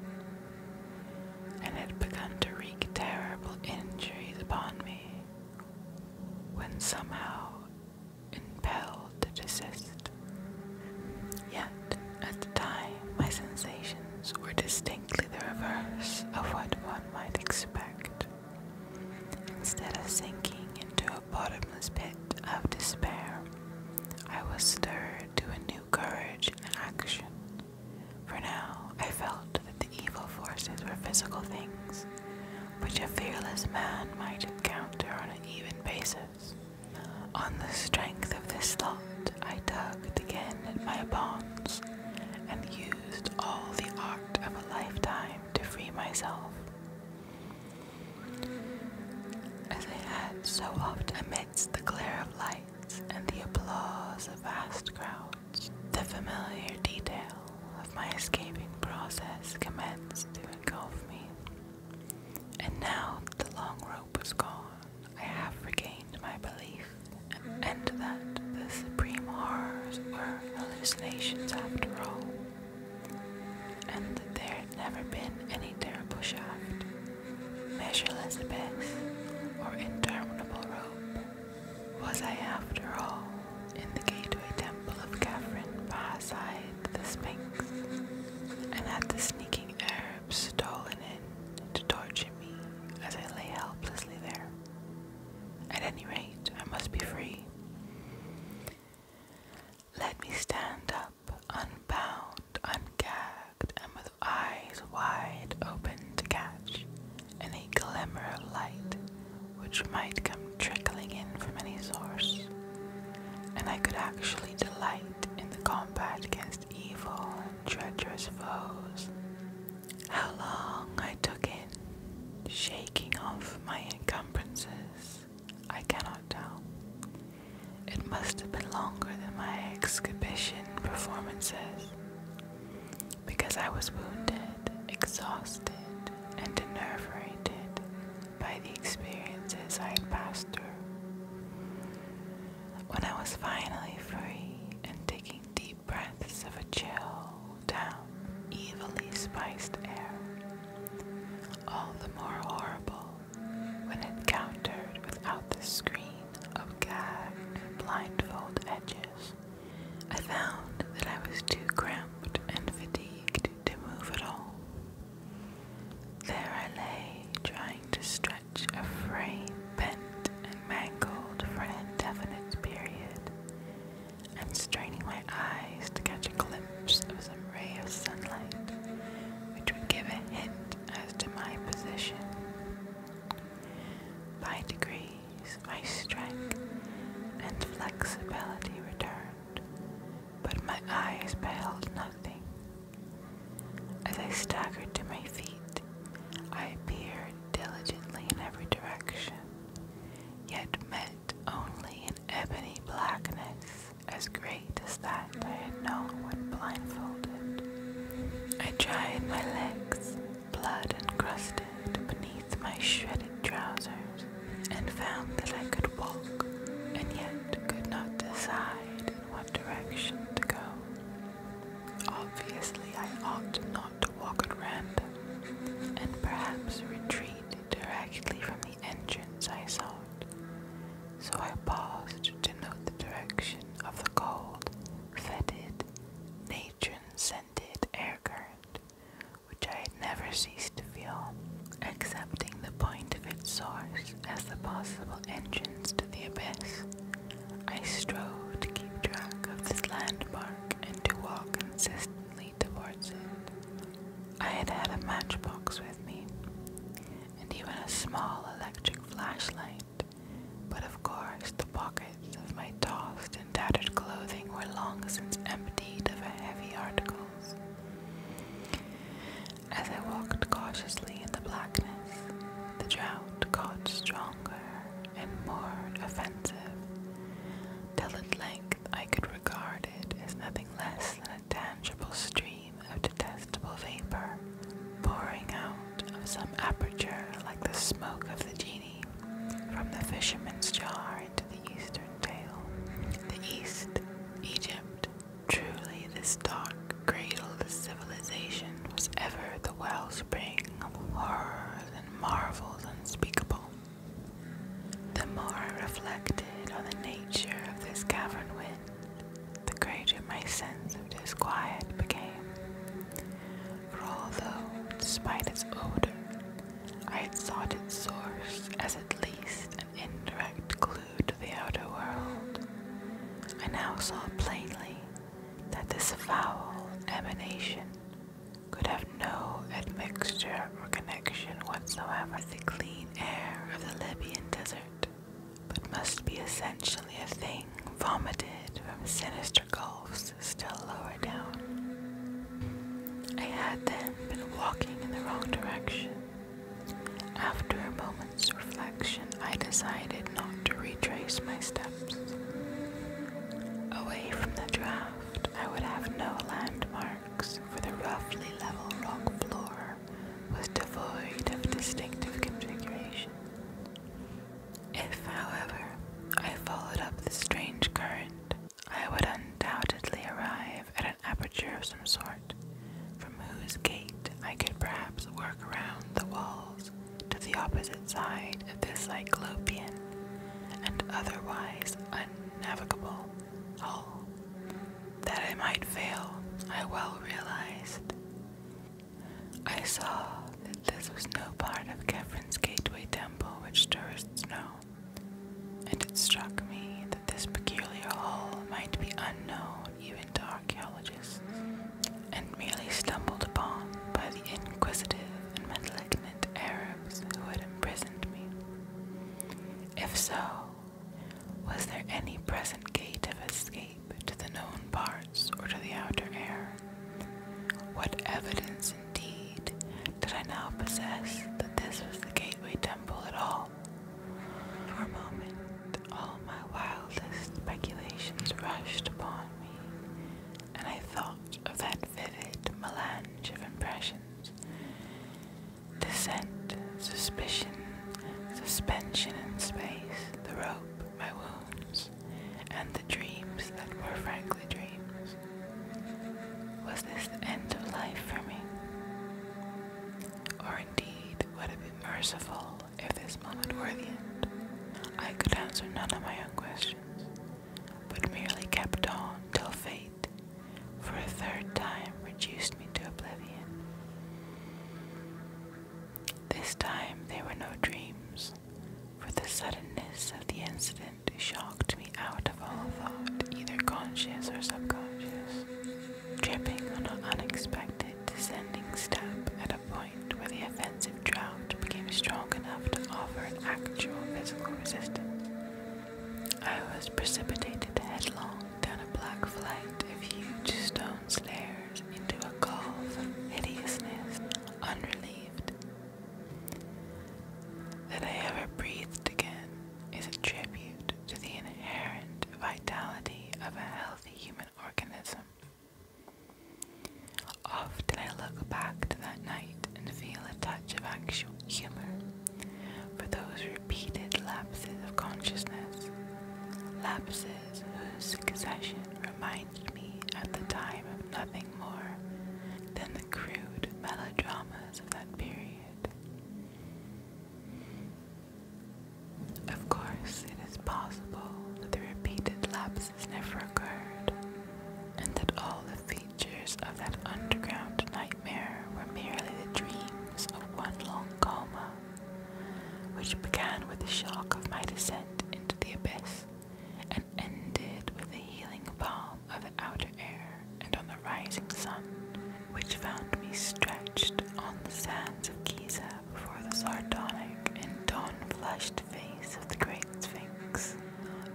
and had begun to wreak terrible injuries upon me, when somehow impelled to desist. Young at the time my sensations were distinctly the reverse of what one might expect. Instead of sinking into a bottomless pit of despair, I was stirred to a new courage and action. For now, I felt that the evil forces were physical things, which a fearless man might encounter on an even basis. On the strength of this thought, I tugged again at my bonds and used all the art of a lifetime to free myself. As I had so often amidst the glare of lights and the applause of vast crowds, the familiar detail of my escaping process commenced to engulf me. And now the long rope was gone, I have regained my belief and that the supreme horrors were hallucinations after all, and that there had never been any terrible shaft, measureless abyss, or interminable rope. Was I, after all, in the gateway temple of Catherine Bahaside the Sphinx, and had the sneaking air? arms stolen in to torture me as I lay helplessly there. At any rate, I must be free. Let me stand up, unbound, ungagged, and with eyes wide open to catch any glimmer of light which might come trickling in from any source, and I could actually delight in the combat against evil, treacherous foes. How long I took in shaking off my encumbrances, I cannot tell. It must have been longer than my exhibition performances, because I was wounded, exhausted, and enervated by the experiences I had passed through. When I was finally free and taking deep breaths of a chill, down, evilly spiced air, all the more horrible when encountered without the screen of gag and blindfold edges, I found that I was too cramped and fatigued to move at all. There I lay, trying to stretch much a frame bent and mangled for an indefinite period, and straining my eyes to catch a glimpse of some ray of sunlight which would give a hint as to my position. By degrees, my strength and flexibility returned, but my eyes beheld nothing as I staggered to my feet, I peered diligently in every direction, yet met only an ebony blackness as great as that I had known when blindfolded. I tried my legs, blood encrusted beneath my shredded trousers, and found that I could walk, and yet could not decide in what direction to go. Obviously, I ought not to walk at random, and perhaps retreat directly from the entrance I sought. So I paused to note the direction of the cold, fetid, natron-scented air current, which I had never ceased to feel, accepting the point of its source as the possible entrance to the abyss. I strove to keep track of this landmark and to walk consistently towards it. I had had a matchbox with me, and even a small electric flashlight, but of course the pockets of my tossed and tattered clothing were long since emptied of heavy articles. As I walked cautiously in the blackness, the drought got stronger and more offensive, till at length I could regard it as nothing less than a tangible stream of detestable vapor, pouring out of some aperture like the smoke of the genie from the fisherman's jar into the eastern tail. The east, Egypt, truly this dark, cradle civilization was ever the wellspring of horrors and marvels unspeakable. The more I reflected on the nature of this cavern wind, the greater my sense of disquiet became. For although, despite its odor, I had sought its source as at least an indirect clue to the outer world, I now saw plainly that this foul emanation could have no admixture or connection whatsoever with the clean air of the Libyan desert, but must be essentially a thing vomited from sinister gulfs still lower down. I had then been walking in the wrong direction. After a moment's reflection, I decided not to retrace my steps. Away from the draft, I would have no landmarks, for the roughly level rock floor was devoid of distinctive configuration. If, however, I followed up the strange current, I would undoubtedly arrive at an aperture of some sort, from whose gate I could perhaps work around the walls to the opposite side of the Cyclopean and otherwise unnavigable hull. That I might fail, I well realized. I saw that this was no part of Kefren's gateway temple, which tourists know, and it struck me that this peculiar hull might be unknown even to archaeologists, and merely stumbled upon by the inquisitive and malignant Arabs who had imprisoned me. If so, was there any present gate of escape to the known parts or to the outer air? What evidence, indeed, did I now possess that this was the gateway temple at all? For a moment, all my wildest speculations rushed upon me, and I thought of that vivid melange of impressions descent, suspicion, suspension in space, the rope, my wounds, and the dreams that were frankly dreams. Was this the end of life for me? Or indeed, would it be merciful if this moment were the end, I could answer none of my own questions, but merely kept on till fate, for a third time, reduced me to oblivion. This time there were no dreams, for the suddenness of the incident shocked me out of all thought, either conscious or subconscious, tripping on an unexpected descending step at a point where the offensive drought became strong enough to offer an actual physical resistance. I was precipitated headlong down a black flight of huge stone stairs into a gulf of hideousness, unrelieved. That I ever breathed again is a tribute to the inherent vitality of a healthy human organism. Often I look back to that night and feel a touch of actual humor for those repeated lapses of consciousness, lapses whose succession reminded me at the time of nothing more than the crude melodramas of that period. Of course, it is possible that the repeated lapses never occurred, and that all the features of that underground nightmare were merely the dreams of one long coma, which began with the shock of my descent into the abyss and ended with the healing balm of the outer air and on the rising sun, which found me stretched on the sands of Giza, before the sardonic and dawn-flushed face of the great sphinx.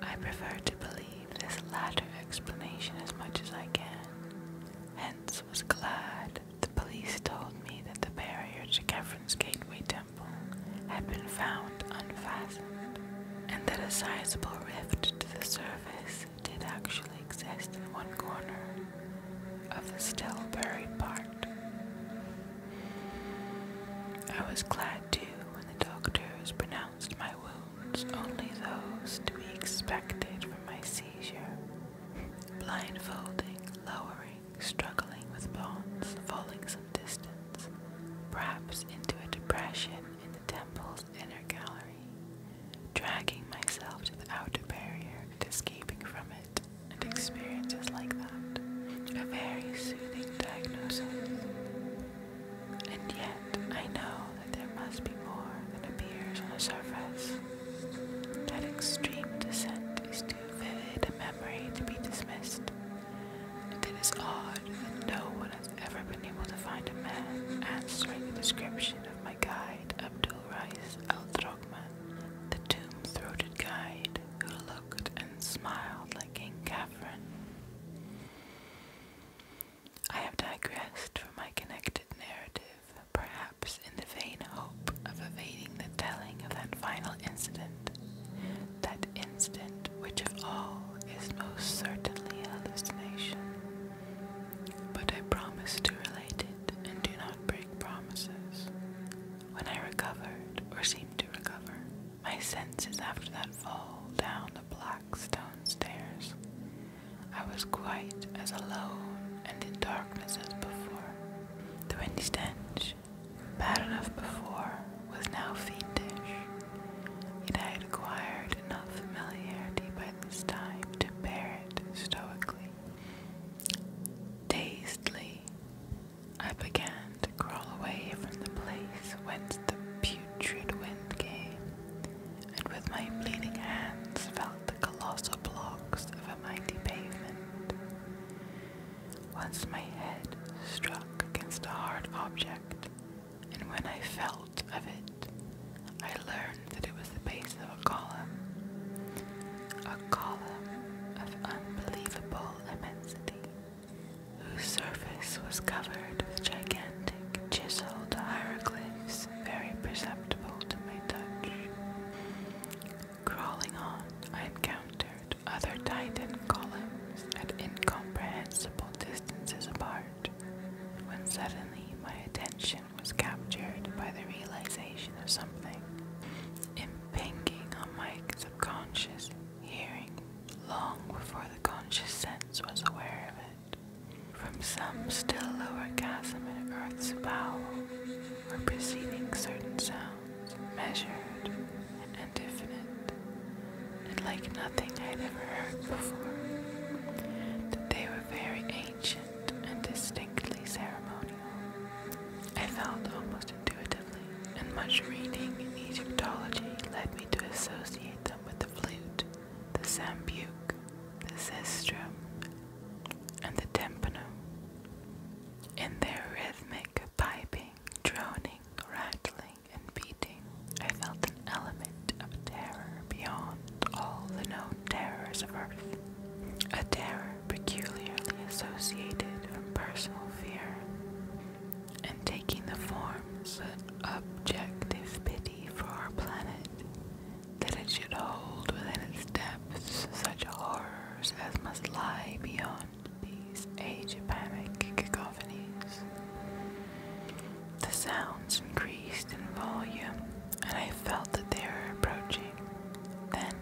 I prefer to believe this latter explanation as much as I can. Hence was glad the police told me that the barrier to Kefren's Gateway Temple had been found unfastened, and that a sizable rift to the surface did actually exist in one corner of the still buried part. I was glad too when the doctors pronounced my wounds only those to be expected from my seizure. Blindfolding, lowering, struggling with bonds, falling some distance, perhaps into a depression in the temple's inner gallery, dragging myself to the outer barrier and escaping from it and experiences like that. A very soothing diagnosis. And yet, I know that there must be more than appears on the surface. That extreme descent is too vivid a memory to be dismissed. And it is odd that no one has ever been able to find a man answering the description of my guide, Abdul Rais al Drogman, the tomb throated guide who and smiled like King Catherine. I have digressed from my connected narrative, perhaps in the vain hope of evading the telling of that final incident, that incident which of all is most certainly hallucination. But I promise to relate it and do not break promises. When I recovered, or seemed to recover, my senses after that fall down the black stone stairs, I was quite as alone and in darkness as before. The windy stench, bad enough before, was now fiendish, yet I had acquired enough familiarity by this time to bear it stoically. Dazedly, I began to crawl away from the place whence the putrid wind came, and with my bleeding hands felt the colossal blocks of a mighty pavement. Once my head struck against a hard object, and when I felt of it, I learned that it was the base of a column, a column of unbelievable immensity, whose surface was covered with gigantic chiseled hieroglyphs, very perceptible to my touch. Crawling on, I encountered other titan columns at incomprehensible distances apart, when suddenly my attention was captured by the realization of something impinging on my the conscious hearing long before the conscious sense was aware of it. From some still lower chasm in Earth's bowel were proceeding certain sounds, measured and definite, and like nothing I'd ever heard before. That they were very ancient and distinctly ceremonial. I felt almost intuitively, and much reading in Egyptology led me to associate them with the flute, the sambuc, the sistrum, and the tympanum. In their rhythmic piping, droning, rattling, and beating, I felt an element of terror beyond all the known terrors of earth. A terror peculiarly associated from personal fear, and taking the forms of objective pity for our planet, that it should hold within its depths such horrors as must lie beyond these age-panic cacophonies. The sounds increased in volume, and I felt that they were approaching. Then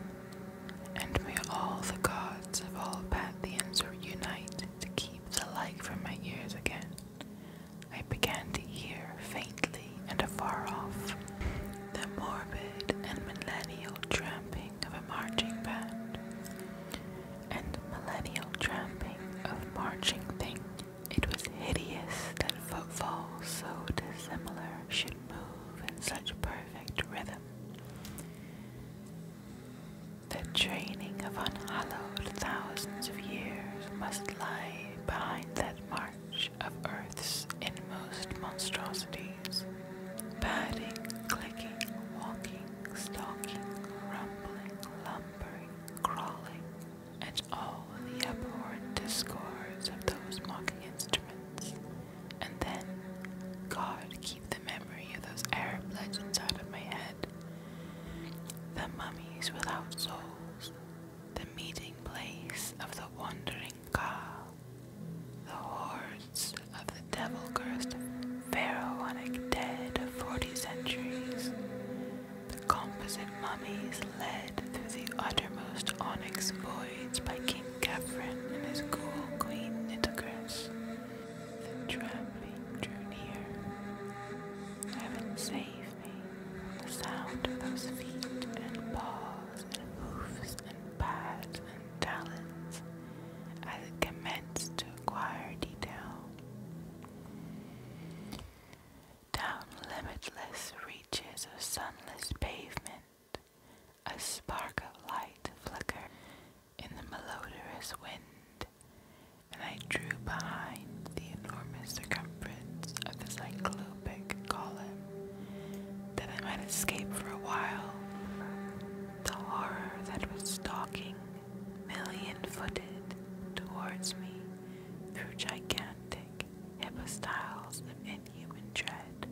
and may all the gods of all Pantheons unite to keep the like from my ears again. I began to hear faintly and afar off the morbid and millennial tramping of a marching band, and millennial tramping of marching thing. It was hideous that footfalls so dissimilar should move in such perfect rhythm. The training of unhallowed thousands of years must lie behind that march of Earth's inmost monstrosities, padding, clicking, walking, stalking, rumbling, lumbering, crawling, and all the abhorrent discords of those mocking instruments. And then, God, keep the memory of those Arab legends out of my head. The mummies without souls, the meeting place of the wandering Ka, the hordes of the devil cursed pharaonic dead of 40 centuries. The composite mummies led through the uttermost onyx voids by King Catherine and his cool, queen Nitocris. Then trembling drew near. Heaven save me from the sound of those feet and paws and hoofs and pads and talons as it commenced to acquire detail. Down limitless reaches of sunless pavement a spark of light flickered in the melodorous wind, and I drew behind the enormous circumference of the cyclopic column that I might escape for a while the horror that was stalking million-footed towards me through gigantic epistyles of inhuman dread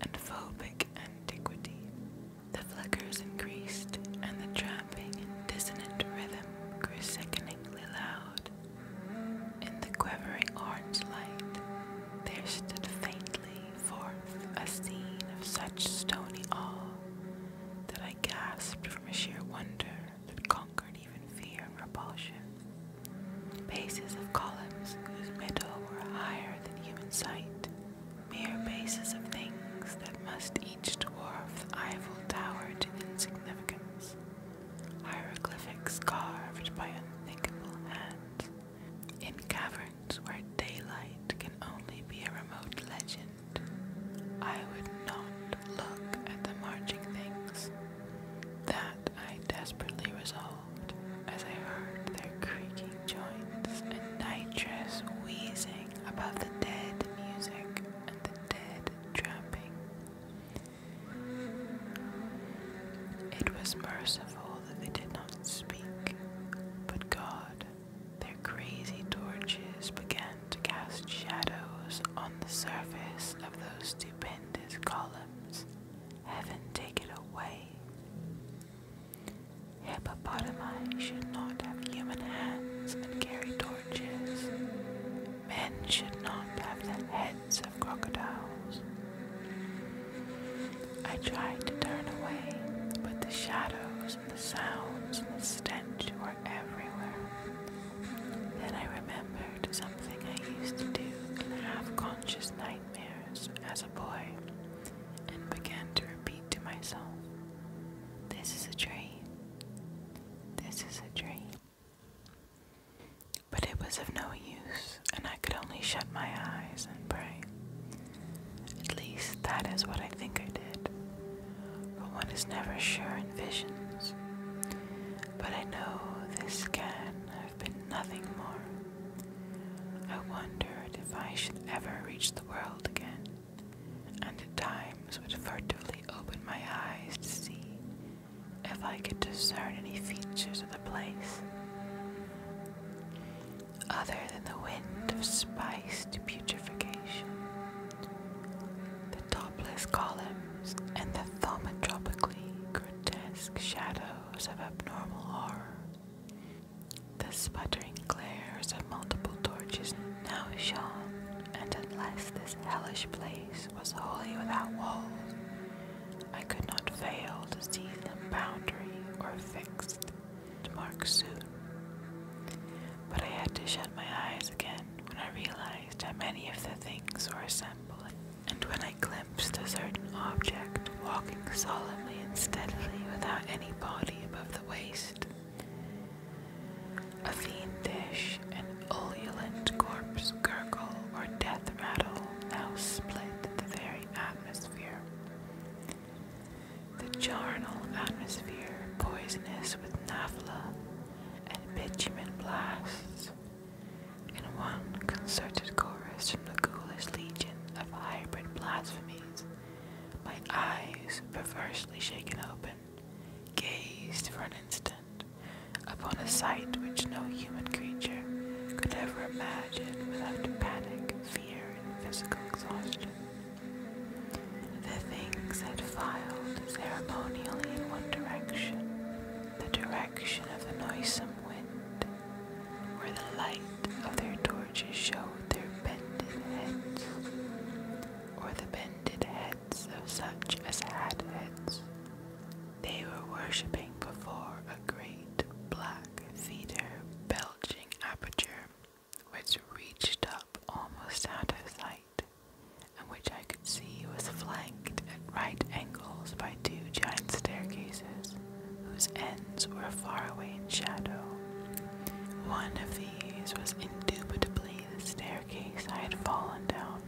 and phobic antiquity. The flickers increased, and the tramping dissonant rhythm grew sickeningly loud. In the quivering orange light, there stood faintly forth a scene of such stony awe that I gasped from a sheer wonder that conquered even fear and repulsion. Bases of columns whose middle were higher than human sight, mere bases of things that must each dwarf the Eiffel Tower to insignificance, hieroglyphics carved by unthinkable hands, in caverns where daylight can only be a remote legend. I would not look at the marching things. That I desperately resolved as I heard their creaking joints and nitrous wheezing above the dead music and the dead tramping. It was merciful that they did not speak, but God, their crazy torches began to cast shadows on the surface of those stupendous columns. Heaven, take it away. Hippopotami should not have human hands and carry torches. Men should not have the heads of crocodiles. I tried to turn away, but the shadows and the sounds and the stench were everywhere. Then I remembered something I used to do in half conscious nightmares as a boy and began to repeat to myself, this is a dream. This is a dream. But it was of no use, and I could only shut my eyes and pray. At least that is what I think I did, for one is never sure in visions. But I know this can have been nothing more I wondered if I should ever reach the world again, and at times would furtively open my eyes to see if I could discern any features of the place other than the wind of spiced putrefaction. The topless columns and the thaumatropically grotesque shadows of abnormal horror the sputtering glares of multiple torches now shone, and unless this hellish place was wholly without walls, I could not fail to see them boundary or fixed mark soon. But I had to shut my eyes again when I realized how many of the things were assembling, and when I glimpsed a certain object walking solemnly and steadily without any body above the waist. A fiendish and oleolent corpse gurgle or death rattle now split the very atmosphere. The charnel atmosphere, poisonous with naphtha and bitumen blasts, in one concerted chorus from the ghoulish legion of hybrid blasphemies my eyes, perversely shaken open, gazed for an instant upon a sight which no human creature could ever imagine without panic, fear, and physical exhaustion. The things had filed ceremonially in one direction, the direction of the noisome wind, where the light of their torches showed their bended heads, or the bended heads of such as had heads. They were worshipping before a great black theatre belching aperture which reached up almost out of sight, and which I could see was flanked at right angles by two giant staircases, whose ends were far away in shadow. One of these was indubitably the staircase I had fallen down.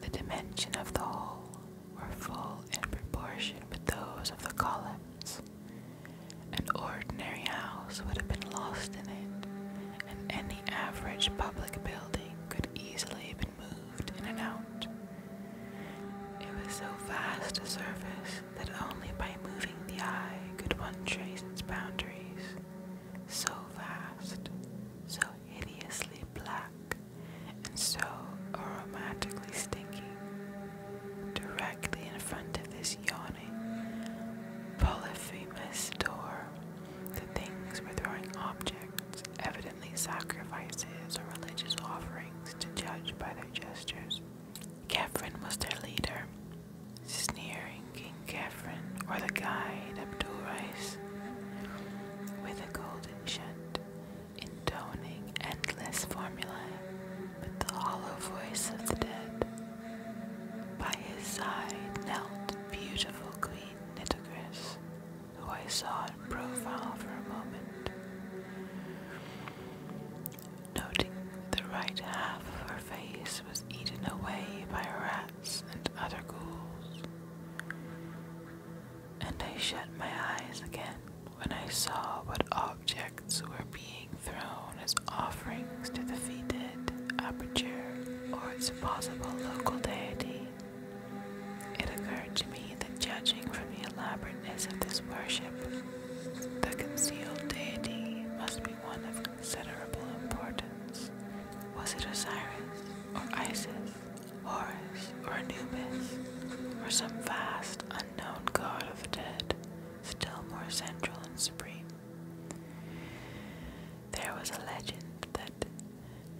The dimension of the hole were full in proportion with those of the columns. An ordinary house would have been lost in it, and any average public building could easily have been moved in and out. It was so vast a surface that only by moving the eye could one trace its boundaries, so vast, so hideously black, and so aromatically stinking. Directly in front of this yawning, polyphemus door, the things were throwing objects, evidently sacrifices or religious offerings, to judge by their gestures. Catherine was their leader. Sneering King Catherine, or the guide Abdul with a golden chant, intoning endless formulae but the hollow voice of the dead. By his side knelt beautiful Queen Nitocris, who I saw in profile for a moment noting the right half of her face was eaten away by rats and other ghouls. And I shut my eyes again when I saw what objects were being thrown as offerings to the fetid aperture or its possible local deity. It occurred to me that judging from the elaborateness of this worship, the concealed deity must be one of considerable importance. Was it Osiris, or Isis, Horus, or Anubis, or some vast, unknown god of the dead, still more central and supreme? There was a legend that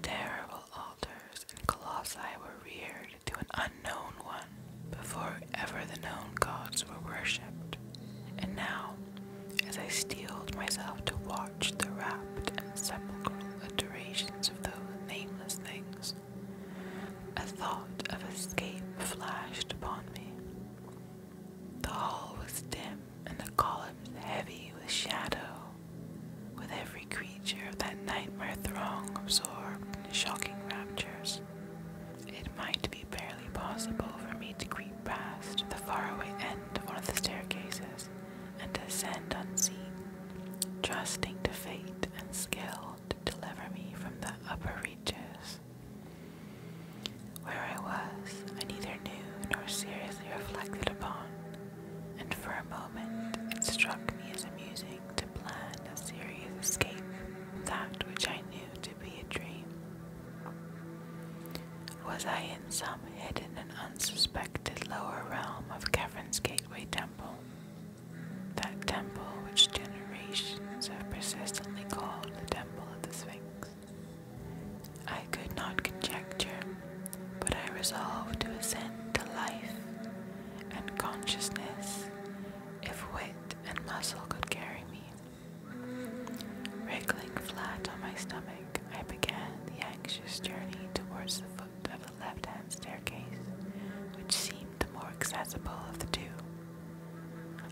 terrible altars and colossi were reared to an unknown one before ever the known gods were worshipped. And now, as I steeled myself to watch the rapt and sepulchral iterations of those nameless things, a thought of escape flashed upon me. The hall was dim and the columns heavy with shadow, with every creature of that nightmare throng absorbed in shocking raptures. It might be barely possible for me to creep past the faraway end of one of the staircases and descend unseen, trusting to fate and skill to deliver me from the upper reaches. Where I was, I neither knew nor seriously reflected upon, and for a moment it struck me as amusing to plan a serious escape from that which I knew to be a dream. Was I in some hidden and unsuspected lower realm of Kevrin's Gateway Temple? That temple which generations have persistently called the Temple of the Sphinx. I could not conjecture, but I resolved to ascend to life and consciousness, if wit and muscle could carry me. Wriggling flat on my stomach, I began the anxious journey towards the foot of the left hand staircase, which seemed the more accessible of the two.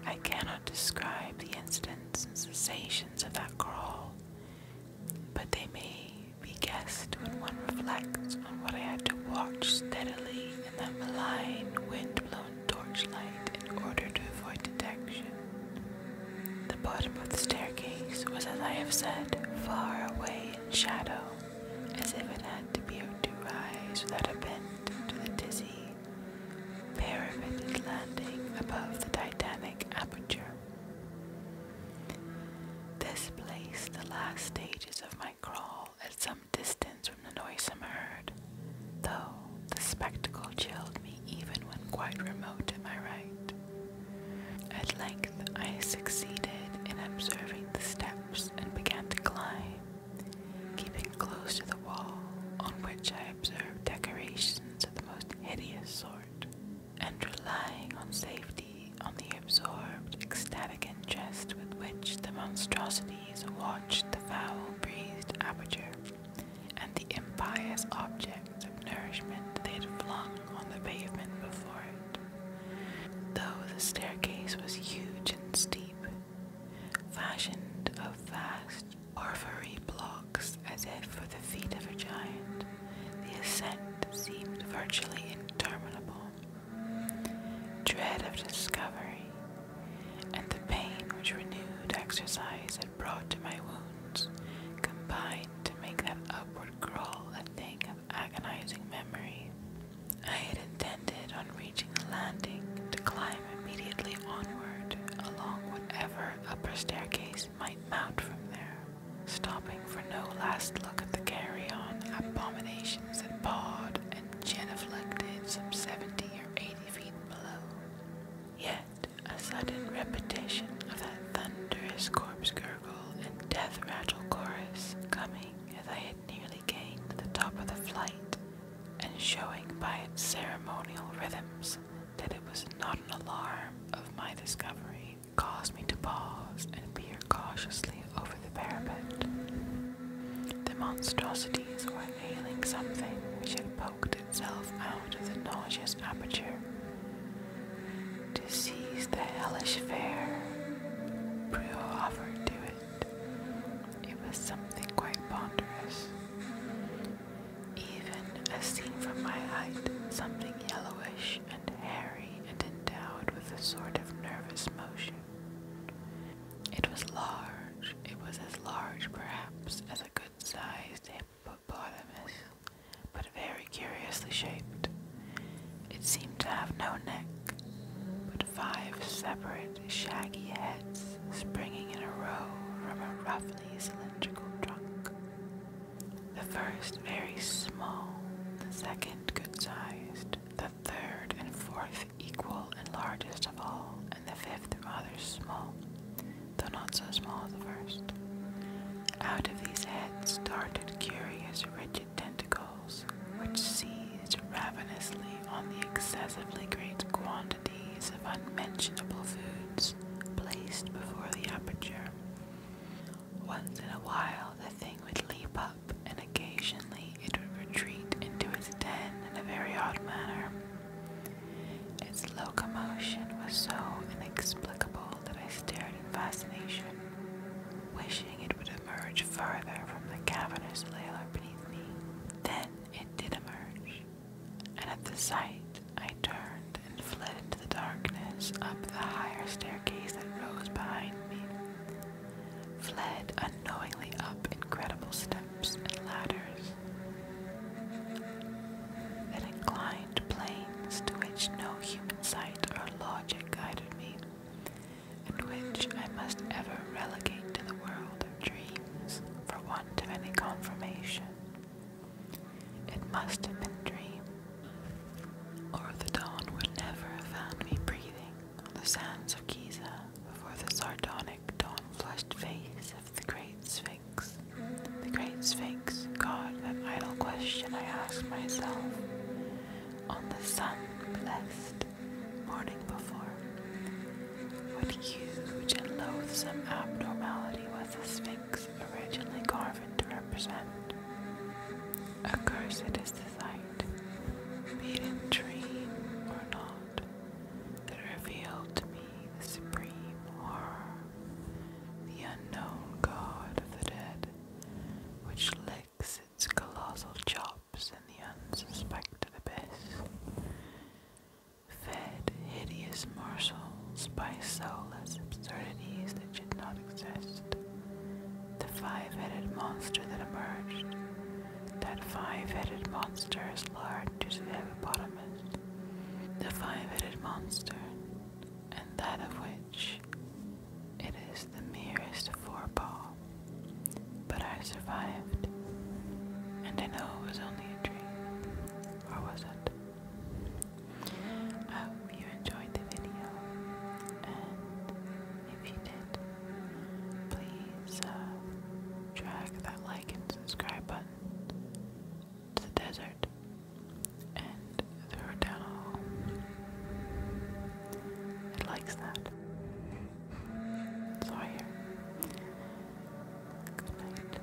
I cannot describe the instants and sensations of that crawl, but they may be guessed when one reflects on what I had to watch steadily in the malign wind-blown torchlight in order to avoid detection. The bottom of the staircase was, as I have said, far away in shadow, as if it had to be to rise without a bend to the dizzy, parapeted landing above the titanic aperture. This place, the last stages of my crawl, at some distance from the noisome herd, though the spectacle chilled me even when quite remote am I right. At length I succeeded in observing the steps and began to climb, keeping close to the wall on which I observed decorations of the most hideous sort, and relying on safety on the absorbed, ecstatic interest with which the monstrosity Hercules watched the foul-breathed aperture and the impious objects of nourishment they had flung on the pavement before it. Though the staircase was huge and steep, fashioned of vast porphyry blocks as if for the feet of a giant, the ascent seemed virtually interminable dread of discovery, and the pain which renewed exercise had brought to my wounds combined to make that upward crawl a thing of agonizing memory. I had intended on reaching the landing to climb immediately onward along whatever upper staircase might mount from there, stopping for no last look at the carry-on abominations and pawed and genuflected some seventy years 80 feet below. Yet a sudden repetition of that thunderous corpse gurgle and death rattle chorus coming as I had nearly gained the top of the flight, and showing by its ceremonial rhythms that it was not an alarm of my discovery, caused me to pause and peer cautiously over the parapet. The monstrosities were inhaling something which had poked itself out of the nauseous aperture to seize the hellish fare. Brio offered to it. It was something quite ponderous. Even as seen from my height, something yellowish and hairy and endowed with a sort of nervous motion. It was large, it was as large perhaps as a good sized hippopotamus, but very curiously shaped. It seemed to have no neck, but five separate shaggy heads springing in a row from a roughly cylindrical trunk. The first very small, the second good sized, the third and fourth equal and largest of all, and the fifth rather small, though not so small as the first. Out of these heads darted curious, rigid tentacles, which seized ravenously on the excessively great quantities of unmentionable foods placed before the aperture. Once in a while, the thing would leap up and occasionally it would retreat into its den in a very odd manner. Its locomotion was so inexplicable that I stared in fascination, wishing it would emerge further from the cavernous lair beneath me. Then it did emerge, and at the sight I turned and fled into the darkness up the higher staircase that rose behind me fled unknowingly up incredible steps and ladders that inclined planes to which no human sight or logic guided me, and which I must ever relegate to the world of dreams for want of any confirmation. It must have been dream, or the dawn would never have found me breathing on the sands of Giza before the sardonic like dawn-flushed face of the great sphinx. The great sphinx, God, that idle question I asked myself on the sun-blessed morning before. What huge and loathsome abnormality was the sphinx originally carved to represent? A curse it is the sight, be it dream or not that revealed to me the supreme horror, the unknown god of the dead, which licks its colossal chops in the unsuspected abyss, fed hideous morsels by soulless absurdities that did not exist. The five headed monster that emerged that five-headed monster is large to the hippopotamus, the five-headed monster, and that of which it is the merest forebore. But I survived, and I know it was only a dream, or was it? I hope you enjoyed the video, and if you did, please uh, drag that like and subscribe button to the desert and throw it down a hole. It likes that. It's Good night. Good night. Good night.